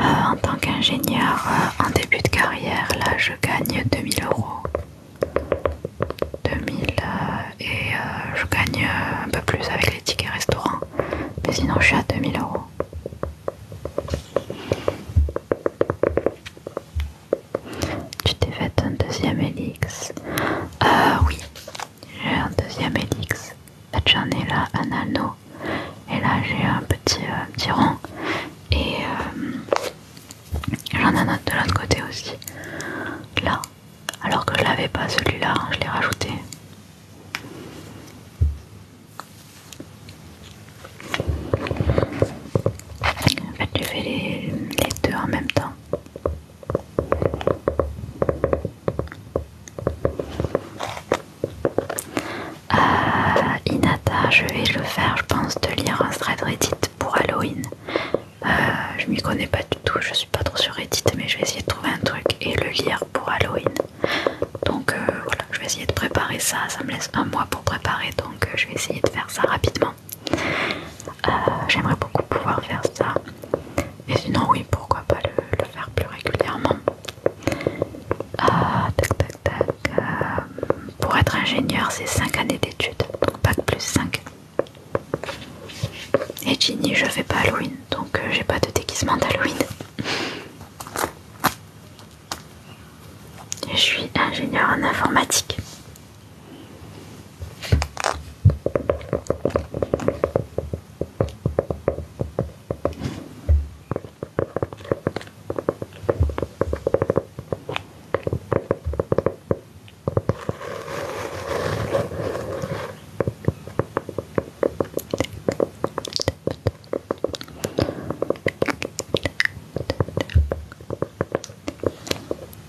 Euh, en tant qu'ingénieur euh, en début de carrière, là je gagne 2000 euros. 2000 euh, et je gagne un peu plus avec les tickets restaurants. Mais sinon je suis à 2000 euros. Tu t'es fait un deuxième Elix Euh oui, j'ai un deuxième Elix. J'en ai là un anneau et là j'ai un petit, euh, rond Et euh, j'en ai un autre de l'autre côté aussi. Là. Alors que je l'avais pas celui-là, hein, je l'ai rajouté. En fait, je fais les deux en même temps. Euh, Inata, je vais le faire, je pense, de lire un thread Reddit pour Halloween. Euh, je m'y connais pas du tout, je suis pas trop sur Reddit, mais je vais essayer de trouver un truc et le lire pour Halloween. Donc euh, voilà, je vais essayer de préparer ça. Ça me laisse un mois pour préparer, donc je vais essayer de faire ça rapidement. J'aimerais beaucoup pouvoir faire ça. Et sinon, oui, pourquoi pas le faire plus régulièrement. Ah, tac, tac, tac. Euh, pour être ingénieur, c'est 5 années d'études, donc que plus 5. Et Ginny, je fais pas Halloween, donc euh, j'ai pas de déguisement d'Halloween. Je suis ingénieur en informatique.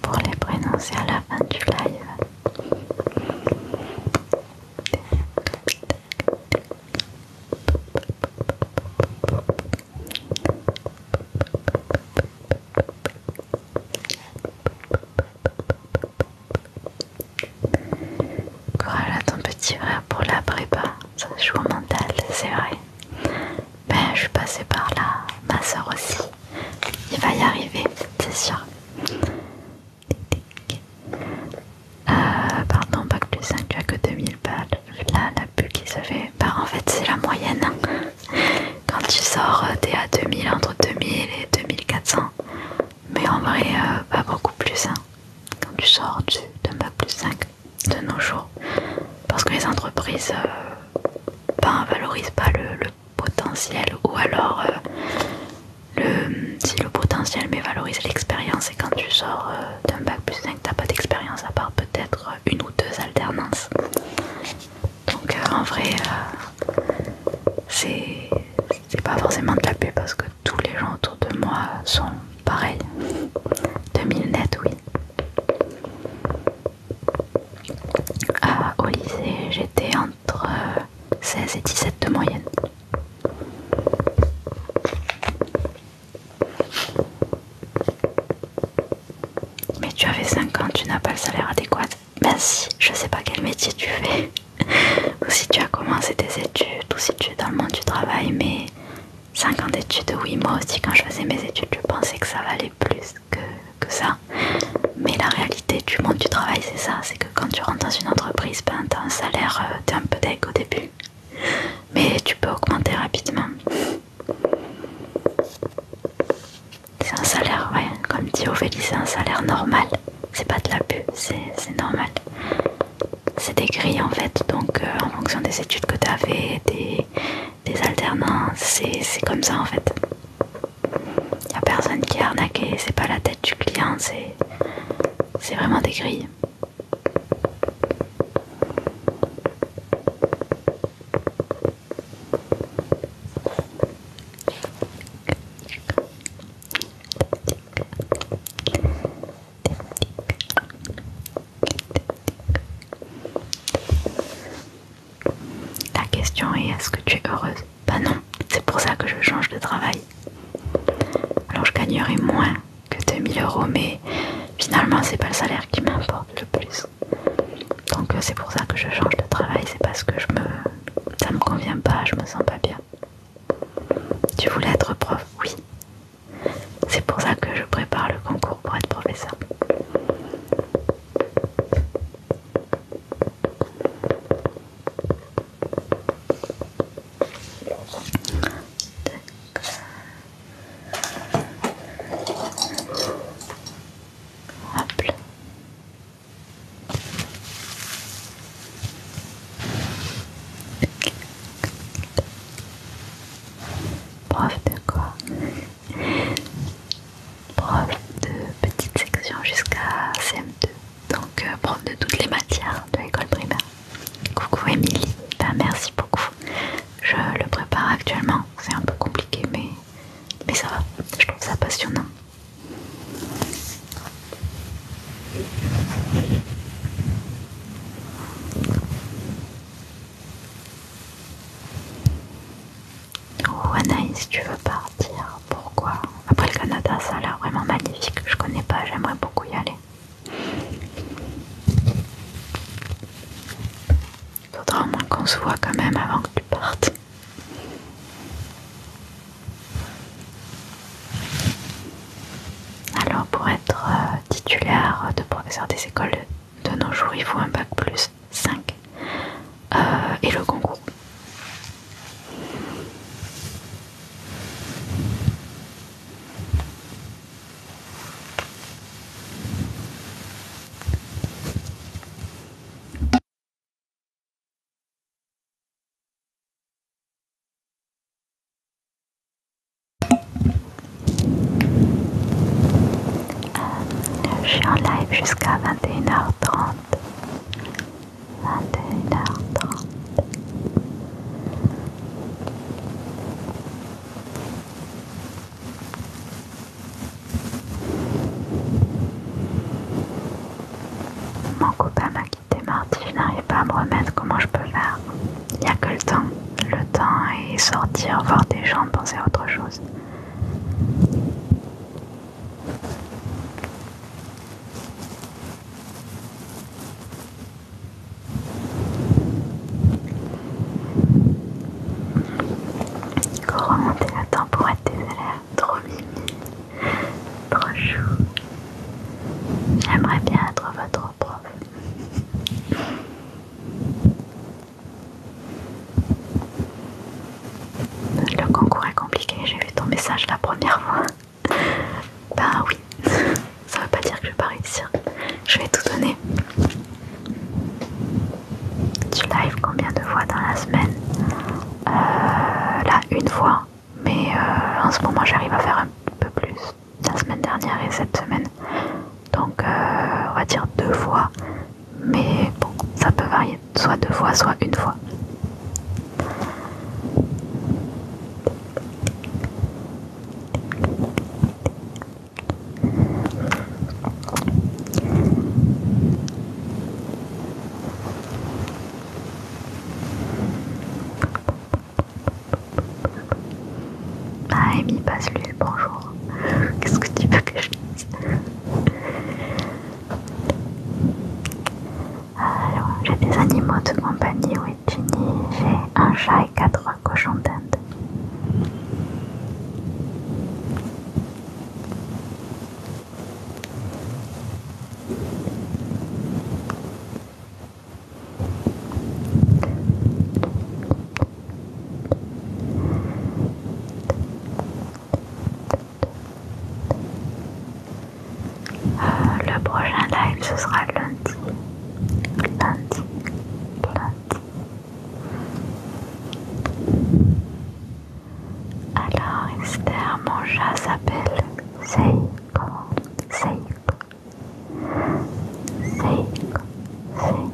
Pour les prononcer à la fin du live. Courage à ton petit frère pour la prépa, ça joue au mental, c'est vrai. Ben je suis passée par là, ma soeur aussi. Il va y arriver, c'est sûr. Euh, pardon, bac plus 5, tu as que 2000 balles. Là, la bulle qui se fait. Bah, en fait, c'est la moyenne. *laughs* Quand tu sors, euh, t'es à 2000, entre 2000 et 2400. Mais en vrai, euh, pas beaucoup plus. Hein. Quand tu sors d'un bac plus 5 de nos jours. Parce que les entreprises ne ben, valorisent pas le, potentiel ou alors si le potentiel mais valorise l'expérience et quand tu sors euh, d'un bac plus 5 t'as pas d'expérience à part peut-être une ou deux alternances donc euh, en vrai euh, c'est pas forcément de la paix parce que tous les gens autour de moi sont pareils 2000 net oui au lycée j'étais entre 16 et 17 de moyenne mais tu avais 5 ans, tu n'as pas le salaire adéquat. Merci, je sais pas quel métier tu fais, *laughs* ou si tu as commencé tes études, ou si tu es dans le monde du travail, mais 5 ans d'études, oui, moi aussi quand je faisais mes études, je pensais que ça valait plus que, que ça. Mais la réalité du monde du travail, c'est ça, c'est que quand tu rentres dans une entreprise, ben, tu un salaire, euh, t'es un peu deg au début, mais tu peux augmenter rapidement. C'est un salaire, ouais, comme dit Ophélie, c'est un salaire normal, c'est pas de l'abus, c'est normal. C'est des grilles en fait, donc euh, en fonction des études que tu as fait, des, alternances, c'est comme ça en fait. Il a personne qui est arnaqué, c'est pas la tête du client, c'est vraiment des grilles. La question est est-ce que tu es heureuse pas bah non, c'est pour ça que je change de travail. Alors je gagnerai moins que 2000 euros, mais finalement c'est pas le salaire qui m'importe le plus. Donc euh, c'est pour ça que je change de travail, c'est parce que je me, ça me convient pas, je me sens pas bien. Tu voulais être prof, oui. C'est pour ça que je prépare le concours pour être professeur. Hop de quoi Preuve de petite section jusqu'à CM2 donc euh, prof de toutes les matières de l'école primaire. Coucou Emilie, ben, merci beaucoup. Je le prépare actuellement, c'est un peu compliqué mais, mais ça va, je trouve ça passionnant. Oh Anaïs, tu veux partir Pourquoi Après le Canada, ça a l'air vraiment magnifique. Je connais pas, j'aimerais beaucoup y aller. Faudra au moins qu'on se voit quand même avant que tu partes. Alors pour être euh, titulaire de professeur des écoles de nos jours, il faut un bac plus 5 euh, et le concours. Euh, je suis en live jusqu'à 21h30. 21h30. Mon copain m'a quitté mardi, je n'arrive pas à me remettre, comment je peux faire Il n'y a que le temps. Le temps et sortir, voir des gens, penser à autre chose. Remonter le temps pour être des trop mimi, trop chou. J'aimerais bien être votre prof. Le concours est compliqué, j'ai vu ton message la première fois. Ben oui, *laughs* ça veut pas dire que je vais pas réussir. Je vais tout donner. Tu live combien de fois dans la semaine euh, Là, une fois. Mais euh, en ce moment, j'arrive à faire un peu plus. La semaine dernière et cette semaine. Donc, euh, on va dire deux fois. Mais bon, ça peut varier. Soit deux fois, soit une fois. Ah, Amy, passe bonjour. Qu'est-ce que tu veux que je dise alors, j'ai des animaux de compagnie, oui, J'ai un chat et quatre cochons d'Inde. Euh, le prochain live ce sera lundi. Lundi. Lundi. Alors, Esther, mon chat s'appelle Seiko. Seiko. Seiko. Seiko.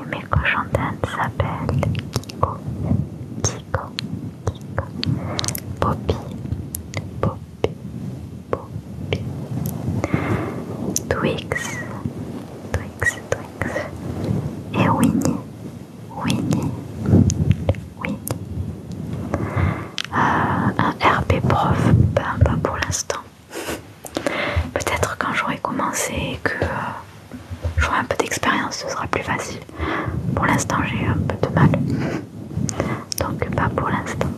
Et mes cochons d'Inde s'appellent Kiko. Kiko. Kiko. Poppy. Poppy. Twix, Twix, Twix, et Winnie, Winnie, Winnie. Euh, un RP prof, pas pour l'instant. Peut-être quand j'aurai commencé que euh, j'aurai un peu d'expérience, ce sera plus facile. Pour l'instant, j'ai un peu de mal donc pas pour l'instant.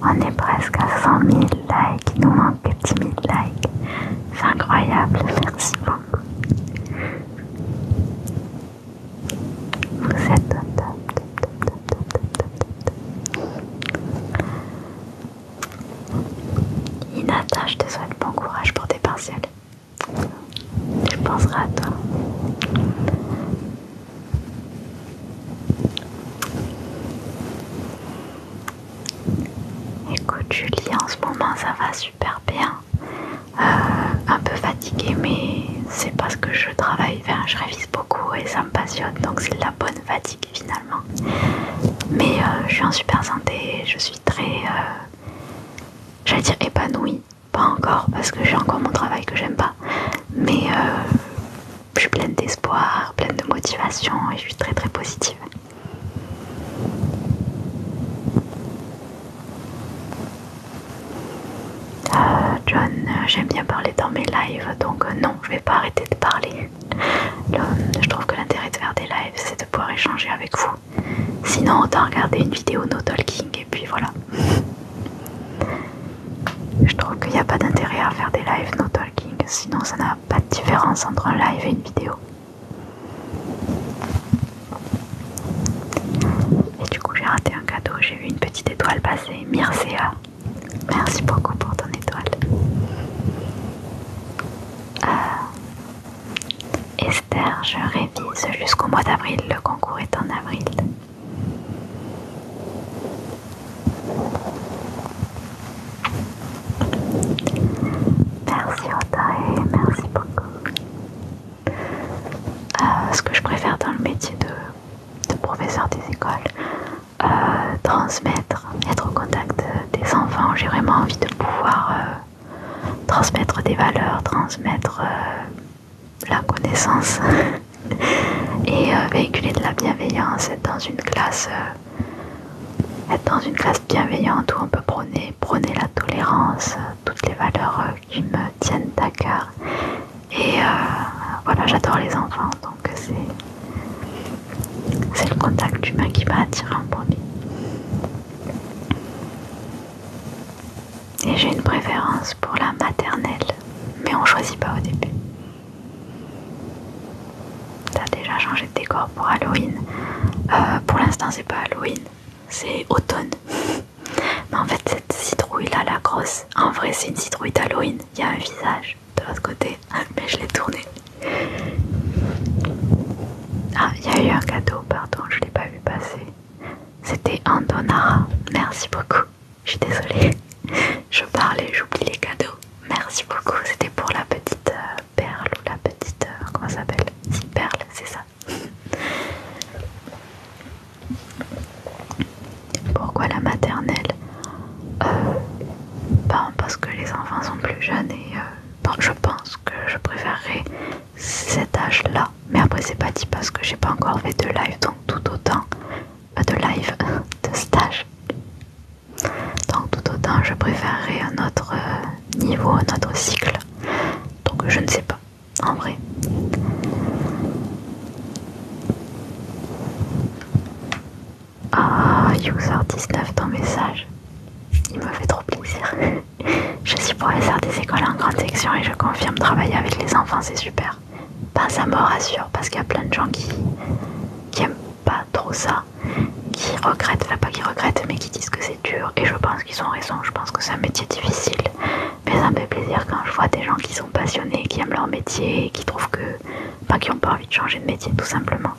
On est presque à 100 000 likes, il nous manque 10 000 likes. C'est incroyable, merci beaucoup. Vous êtes Inata, je te souhaite bon courage pour tes partiels. Je penserai à toi. Écoute Julie, en ce moment ça va super bien. Euh, un peu fatiguée, mais c'est parce que je travaille, bien, je révise beaucoup et ça me passionne, donc c'est la bonne fatigue finalement. Mais euh, je suis en super santé, je suis très, euh, j'allais dire épanouie, pas encore parce que j'ai encore mon travail que j'aime pas, mais euh, je suis pleine d'espoir, pleine de motivation et je suis très très positive. John, j'aime bien parler dans mes lives, donc non, je vais pas arrêter de parler. Euh, je trouve que l'intérêt de faire des lives, c'est de pouvoir échanger avec vous. Sinon, autant regarder une vidéo no talking et puis voilà. Je trouve qu'il n'y a pas d'intérêt à faire des lives no talking, sinon ça n'a pas de différence entre un live et une vidéo. Et du coup j'ai raté un cadeau, j'ai vu une petite étoile passer, Mircea. Merci beaucoup pour ton étoile. Euh, Esther, je révise jusqu'au mois d'avril. Le concours est en avril. Merci Otae, merci beaucoup. Euh, ce que je préfère dans le métier de, professeur des écoles, euh, transmettre, être au contact des enfants. J'ai vraiment envie de pouvoir euh, transmettre des valeurs, transmettre euh, la connaissance *laughs* et euh, véhiculer de la bienveillance, être dans une classe. dans une classe bienveillante où on peut prôner, la tolérance, toutes les valeurs qui me tiennent à cœur. Et voilà, j'adore les enfants, donc c'est c'est le contact humain qui m'a attiré en premier. Et j'ai une préférence pour la maternelle, mais on choisit pas au début. T'as déjà changé de décor pour Halloween. Euh, pour l'instant, c'est pas Halloween, c'est automne. *laughs* mais en fait, cette citrouille là, la grosse, en vrai, c'est une citrouille d'Halloween. Il y a un visage, de l'autre côté, ah, mais je l'ai tourné. Ah, il y a eu un cadeau, pardon, je l'ai pas vu passer. C'était un Merci beaucoup. Je suis désolée. *laughs* Je parlais, j'oublie les cadeaux. Merci beaucoup. C'était pour la petite euh, perle ou la petite euh, comment ça s'appelle Si perle, c'est ça. *laughs* Pourquoi la maternelle euh, ben, Parce que les enfants sont plus jeunes et je pense que je préférerais cet âge là mais après c'est pas dit parce que j'ai pas encore fait de live donc tout autant pas de live *laughs* de stage donc tout autant je préférerais un autre euh, niveau un autre cycle donc je ne sais pas en vrai ah, User19, ton message. Il me fait trop plaisir. *laughs* je suis professeur des écoles en grande section et je confirme travailler avec les enfants, c'est super. Pas ça me rassure parce qu'il y a plein de gens qui, qui aiment pas trop ça, qui regrettent, enfin pas qui regrettent, mais qui disent que c'est dur. Et je pense qu'ils ont raison, je pense que c'est un métier difficile. Mais ça me fait plaisir quand je vois des gens qui sont passionnés, qui aiment leur métier et qui trouvent que. pas qui n'ont pas envie de changer de métier tout simplement.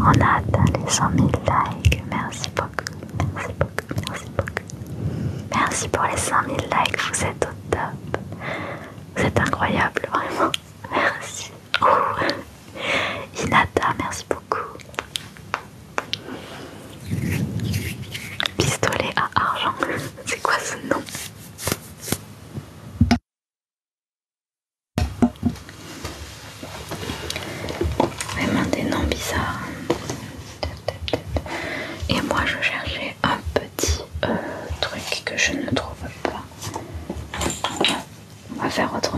On a atteint les 100 000 likes. Merci beaucoup, merci beaucoup, merci beaucoup. Merci pour les 100 000 likes, vous êtes au top. Vous êtes incroyable, vraiment. Merci. Inata, merci beaucoup. Pistolet à argent. *laughs* C'est quoi ce nom Vraiment des noms bizarres. Et moi je cherchais un petit euh, truc que je ne trouve pas. On va faire autrement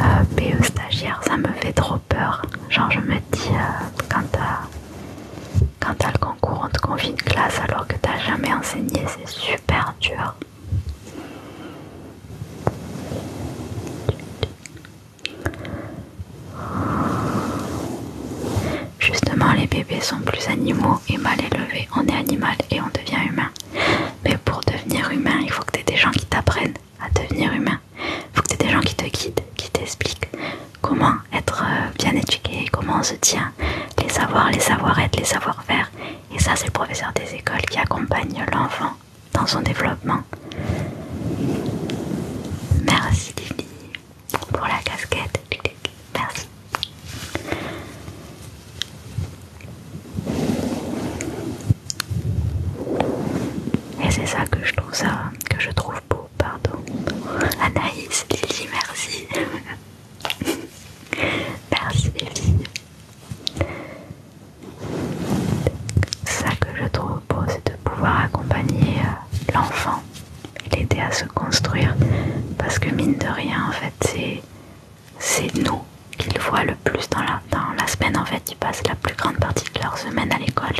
euh, PE stagiaire, ça me fait trop peur. Genre, je me dis, euh, quand t'as le concours, on te confie une classe alors que t'as jamais enseigné, c'est super dur. Justement, les bébés sont plus animaux et mal élevés. On est animal et on devient humain. Mais pour devenir humain, il faut que t'aies des gens qui t'apprennent à devenir humain. Il faut que tu des gens qui te guident, qui t'expliquent comment être euh, bien éduqué, comment on se tient, les savoirs, les savoir-être, les savoir-faire. Et ça, c'est le professeur des écoles qui accompagne l'enfant dans son développement. Merci Lily pour la casquette. Merci. Et c'est ça que je trouve ça, que je trouve beau, pardon. Anaïs, Lily, merci. *laughs* merci Lily. Ça que je trouve beau, c'est de pouvoir accompagner euh, l'enfant et l'aider à se construire. Parce que mine de rien, en fait, c'est nous qu'il voit le plus dans la, semaine en fait, ils passent la plus grande partie de leur semaine à l'école.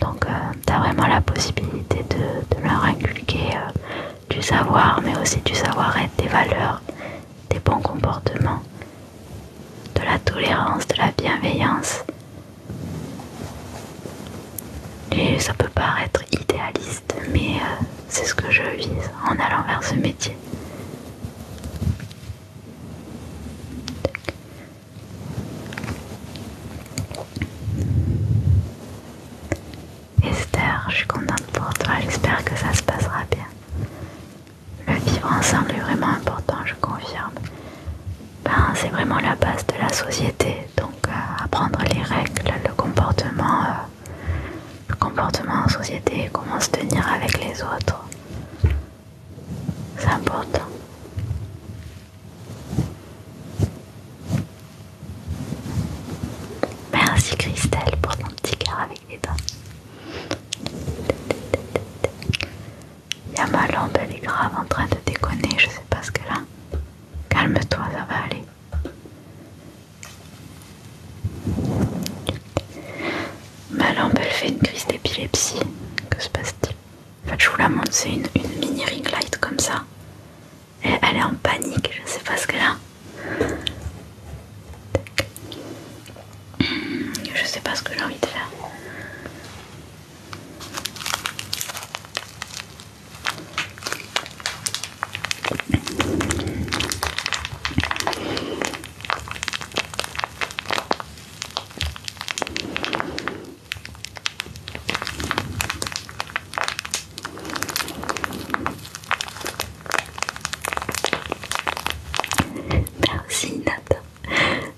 Donc euh, tu as vraiment la possibilité de, leur inculquer euh, du savoir, mais aussi du savoir-être, des valeurs, des bons comportements, de la tolérance, de la bienveillance. Et ça peut paraître idéaliste, mais euh, c'est ce que je vise en allant vers ce métier. Esther, je suis contente pour toi, j'espère que ça se passera bien. Le vivre ensemble est vraiment important, je confirme. Ben, c'est vraiment la base de la société, donc euh, apprendre les règles, le comportement, euh, le comportement en société, comment se tenir avec les autres. C'est important. Merci Christelle pour ton petit cœur avec les dents. Y'a ma lampe, elle est grave en train de déconner, je sais pas ce que là. Calme-toi, ça va aller. Ma lampe, elle fait une crise d'épilepsie. Que se passe-t-il En fait, je vous la montre, c'est une, mini ring light comme ça. Elle, est en panique, je sais pas ce qu'elle a. Je sais pas ce que j'ai envie de faire. Merci Nathan,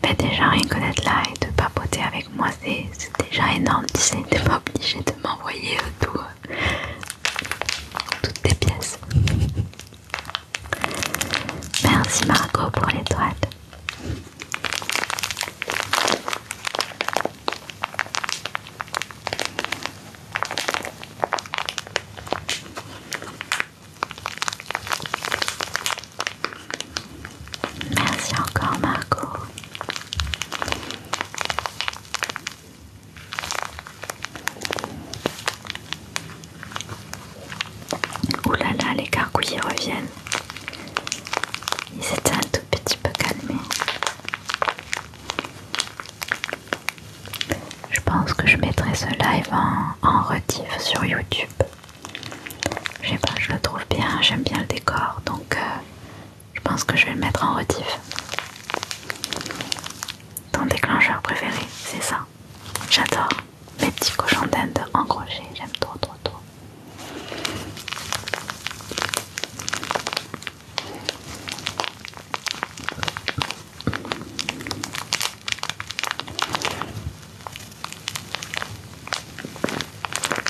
Mais déjà rien que d'être là et de papoter avec moi, c'est déjà énorme. Tu sais, t'es pas obligé de m'envoyer tout, euh, toutes tes pièces. Merci Marco, pour l'étoile. Merci encore Marco. Ouh là là, les gargouilles reviennent. Ils étaient un tout petit peu calmés. Je pense que je mettrai ce live en, retif sur YouTube. Je sais pas, je le trouve bien, j'aime bien le décor, donc euh, je pense que je vais le mettre en retif. Ton déclencheur préféré, c'est ça. J'adore mes petits cochons d'Inde en crochet, j'aime trop trop trop.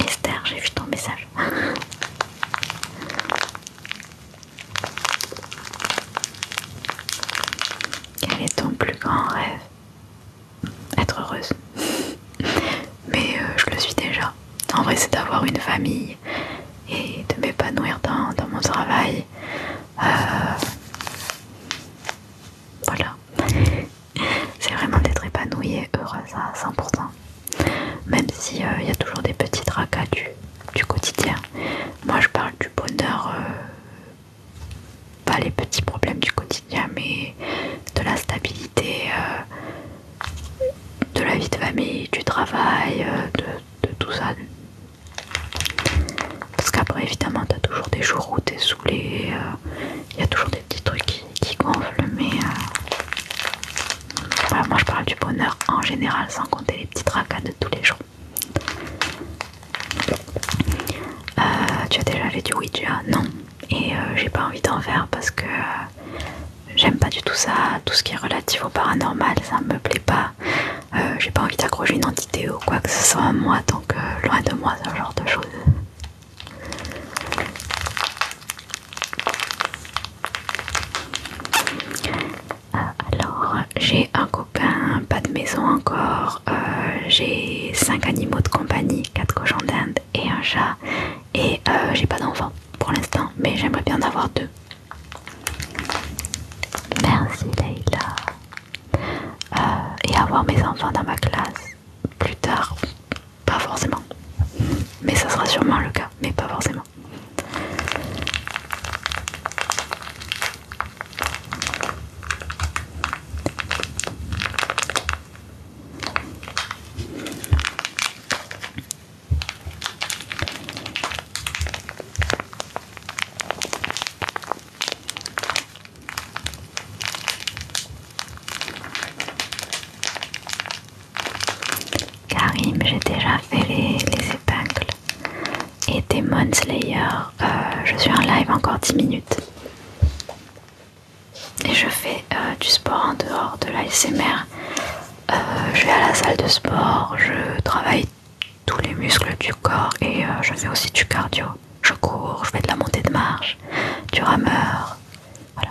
Esther, j'ai vu ton message. *laughs* Quel est ton plus grand rêve être heureuse. *laughs* Mais euh, je le suis déjà. En vrai, c'est d'avoir une famille et de m'épanouir dans, mon travail. Euh, voilà. c'est vraiment d'être épanouie et heureuse à 100%. Même s'il euh, il y a toujours des petits tracas du, quotidien. Moi, je parle du bonheur pas les petits problèmes du quotidien, mais de la stabilité, euh, de la vie de famille, du travail, euh, de, tout ça. Parce qu'après, évidemment, t'as toujours des jours où t'es saoulé, il euh, y a toujours des petits trucs qui, gonflent, mais moi je parle du bonheur en général, sans compter les petites tracas de tous les jours. Euh, tu as déjà fait du Ouija Non. Et euh, j'ai pas envie d'en faire parce que euh, j'aime pas du tout ça. Tout ce qui est relatif au paranormal, ça me plaît pas. j'ai pas envie d'accrocher une entité ou quoi que ce soit à moi, donc loin de moi ce genre de choses. alors, j'ai un, pas de maison encore. Euh, j'ai cinq animaux de compagnie, 4 cochons d'Inde et un chat. Et euh, j'ai pas d'enfant pour l'instant, mais j'aimerais bien en avoir deux. Merci Leïla. Euh, et avoir mes enfants dans ma classe plus tard, pas forcément. Mais ça sera sûrement le cas, mais pas forcément. Karim, j'ai déjà fait les, les épingles et Demon Slayer. Euh, je suis en live encore 10 minutes. Et je fais euh, du sport en dehors de l'ASMR. Euh, je vais à la salle de sport, je travaille tous les muscles du corps et je fais aussi du cardio. Je cours, je fais de la montée de marche, du rameur. Voilà.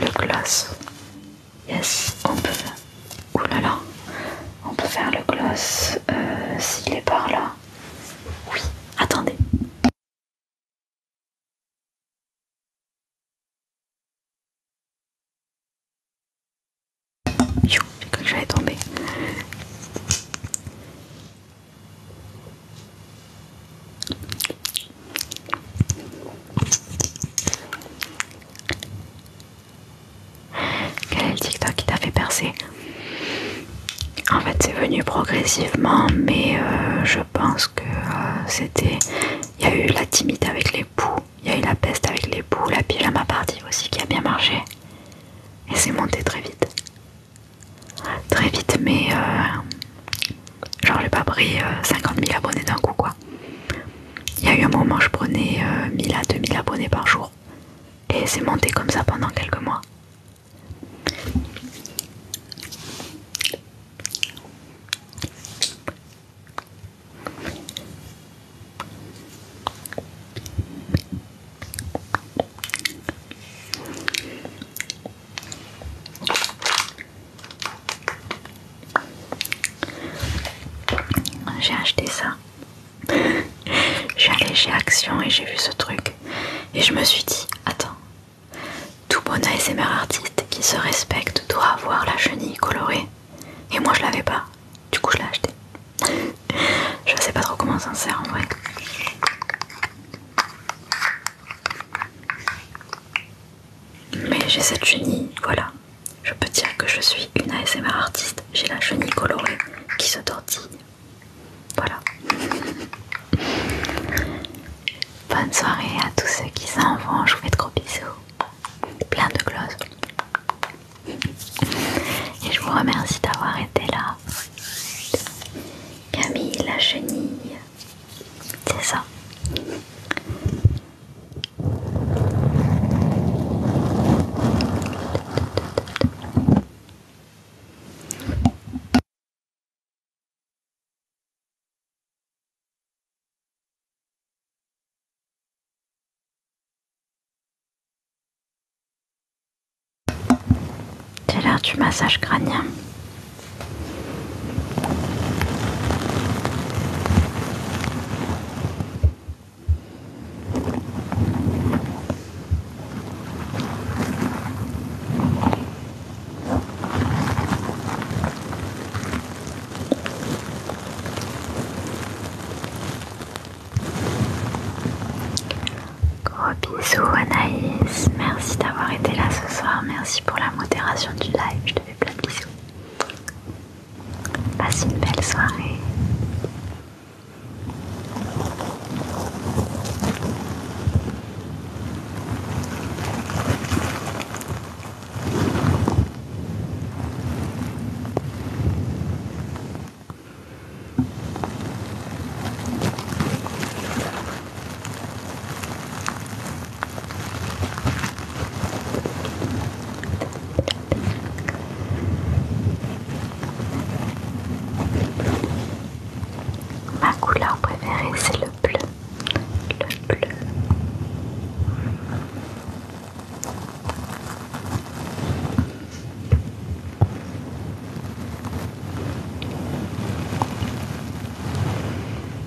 le gloss. Yes, on peut faire. là là, on peut faire le gloss euh, s'il est par là. Oui, attendez. J'ai cru que j'allais tomber. Quel est le TikTok qui t'a fait percer En fait, c'est venu progressivement, mais euh, je pense que euh, c'était. Il y a eu la timide avec les poux, il y a eu la peste avec les poux, la à ma partie aussi qui a bien marché. Et c'est monté très vite. Très vite, mais euh, Genre j'ai pas pris 50 000 abonnés d'un coup quoi. Il y a eu un moment je prenais 1 euh, 1000 à 2000 abonnés par jour. Et c'est monté comme ça pendant quelques mois. J'ai acheté ça. allé chez Action et j'ai vu ce truc. Et je me suis dit, attends, tout bon ASMR artiste qui se respecte doit avoir la chenille colorée. Et moi je l'avais pas, du coup je l'ai acheté. *laughs* je sais pas trop comment ça sert en vrai. Mais j'ai cette chenille, voilà. Je peux dire que je suis une ASMR artiste. J'ai la chenille colorée qui se tortille. Voilà. Bonne soirée à tous ceux qui s'en vont. Je vous fais de gros bisous. Plein de glosses. Et je vous remercie d'avoir été là. Camille, la chenille. C'est ça. J'ai l'air du massage crânien. Gros bisous Anaïs, merci d'avoir été là ce soir, merci pour la modération du live, et plein de bisous. Passe une belle soirée. Ma couleur préférée, c'est le bleu. Le bleu.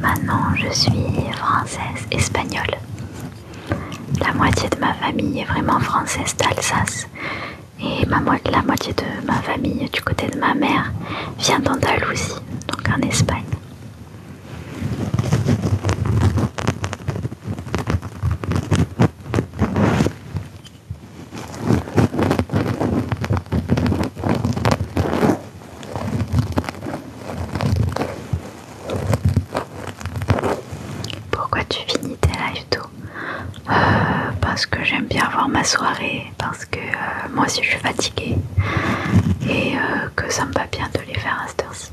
Maintenant, je suis française espagnole. La moitié de ma famille est vraiment française d'Alsace et la moitié de ma famille du côté de ma mère vient d'Andalousie, donc en Espagne. Pourquoi tu finis tes lives tôt euh, Parce que j'aime bien avoir ma soirée, parce que euh, moi aussi je suis fatiguée et euh, que ça me va bien de les faire à cette heure-ci.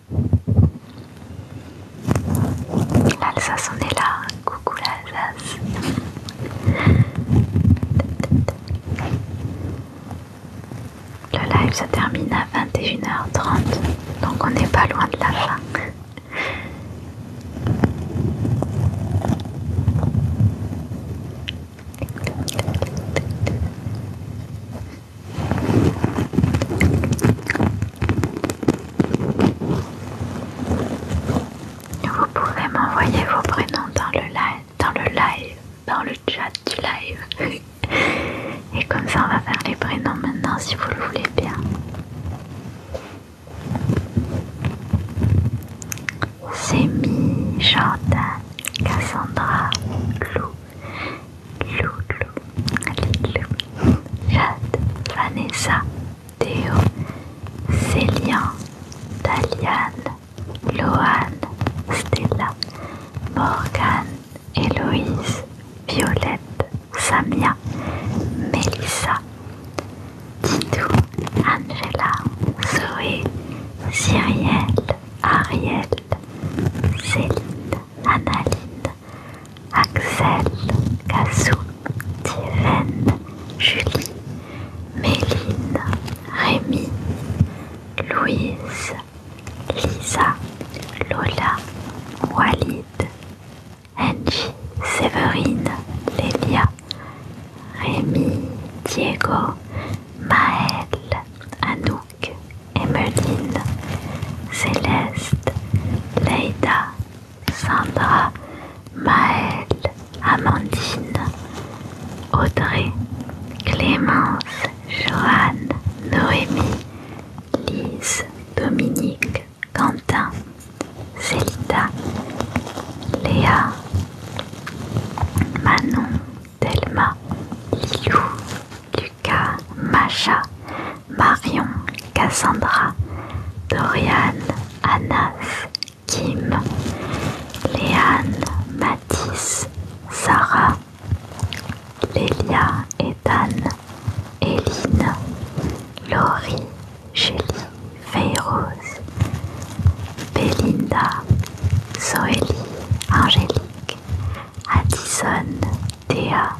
L'Alsace, on est là. Coucou l'Alsace. Le live se termine à 21h30, donc on n'est pas loin de la fin. Vous pouvez m'envoyer vos prénoms dans le live, dans le live, dans le chat du live. *laughs* Et comme ça, on va faire les prénoms maintenant si vous le voulez bien. Semi, Jordan, Cassandra, Lou, Loulou, Jade, Vanessa, Théo, Célian, Daliane, Loane, Stella, Morgane, Héloïse, Violette, Samia, Melissa, Titou, Angela, Zoé, Cyrielle, Ariel, Céline, Annaline, Axel, Cassou, Tirène, Julie, Méline, Rémi, Louise, Lisa, Lola, Walid, Angie, Séverine, Lélia, Rémi, Diego, Maëlle, Anou, Emeline, Céleste, Leïda, Sandra, Maëlle, Amandine, Audrey, Clémence, Johanne, Noémie, Lise, Dominique, Quentin, Célita, Léa, Manon, Thelma, Lilou, Lucas, Macha, Marion, Cassandra, Dorian, Anas, Kim, Léane, Mathis, Sarah, Lélia, Ethan, Eline, Laurie, Julie, Feyros, Belinda, Zoélie, Angélique, Addison, Théa,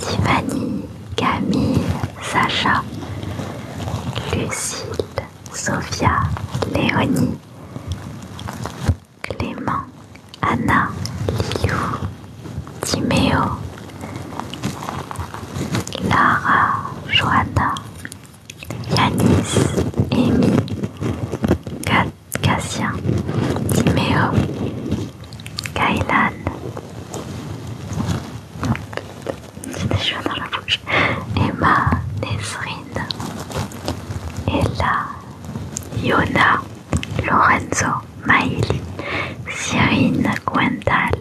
Tiffany, Camille, Sacha, Lucille, Sophia, Léonie, Clément, Anna, Liu, Timéo, Lara, Joanna, Yanis, Emi, Kat, Cassia, Timéo, Kailan. C'est des dans la bouche. Emma, Nesrine, Ella, Yona, Lorenzo, Maïli, Cyrine, Gwendal.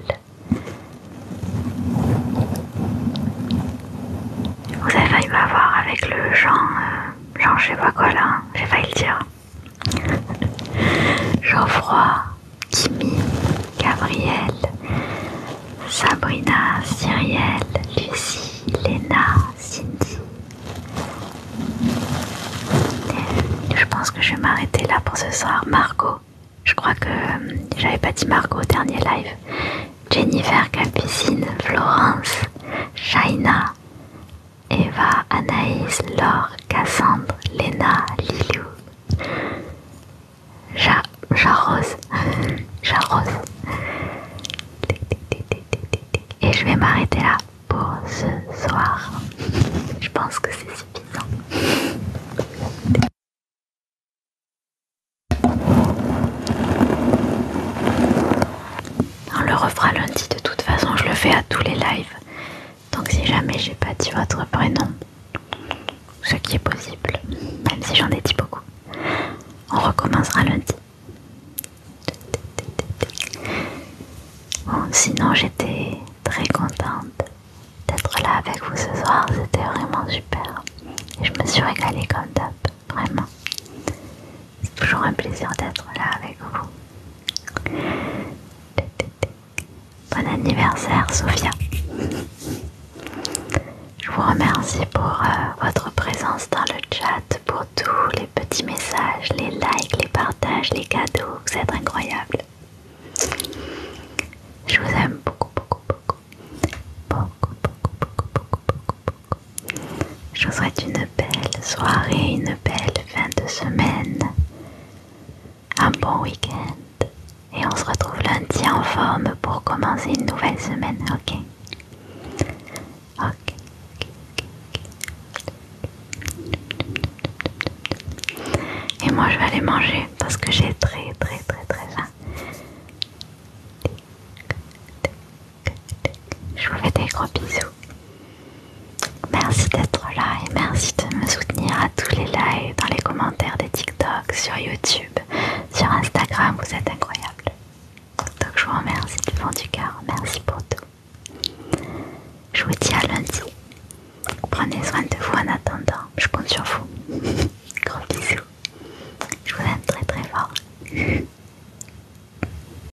Vous avez failli m'avoir avec le Jean, euh, Jean je sais pas quoi là, hein. j'ai failli le dire. Geoffroy, Kimmy, Gabriel, Sabrina, Cyrielle, Lucie, Lena, Cindy. je pense que je vais m'arrêter là pour ce soir. Margot, je crois que euh, j'avais pas dit Margot au dernier live. Jennifer, Capucine, Florence, Shaina, Eva, Anaïs, Laure, Cassandre, Léna, Lilou, J'arrose. Jarose, *laughs* Jarose. Et je vais m'arrêter là pour ce soir. *laughs* Je pense que c'est suffisant. On le refera lundi, de toute façon je le fais à tous les lives. Donc si jamais j'ai pas dit votre prénom, ce qui est possible, même si j'en ai dit beaucoup, on recommencera lundi. sinon j'étais très contente d'être là avec vous ce soir, c'était vraiment super. Et je me suis régalée comme d'hab, vraiment. C'est toujours un plaisir d'être là avec vous. Bon anniversaire, Sophia. Je vous remercie pour euh, votre présence dans le chat, pour tous les petits messages, les likes, les partages, les cadeaux. Vous êtes incroyables. Je vous aime beaucoup, beaucoup. Beaucoup, beaucoup, beaucoup, beaucoup, beaucoup, beaucoup. Je vous souhaite une belle soirée, une belle fin de semaine, un bon week-end. Et on se retrouve lundi en forme pour commencer une nouvelle semaine, ok Ok. Et moi je vais aller manger parce que j'ai très très très très faim. Je vous fais des gros bisous. Merci d'être là et merci de me soutenir à tous les likes, dans les commentaires des TikTok, sur YouTube, sur Instagram, vous êtes incroyables. Donc je vous remercie du fond du cœur, merci pour tout. Je vous dis à lundi. Prenez soin de vous en attendant, je compte sur vous. *laughs* Gros bisous. Je vous aime très très fort. *laughs*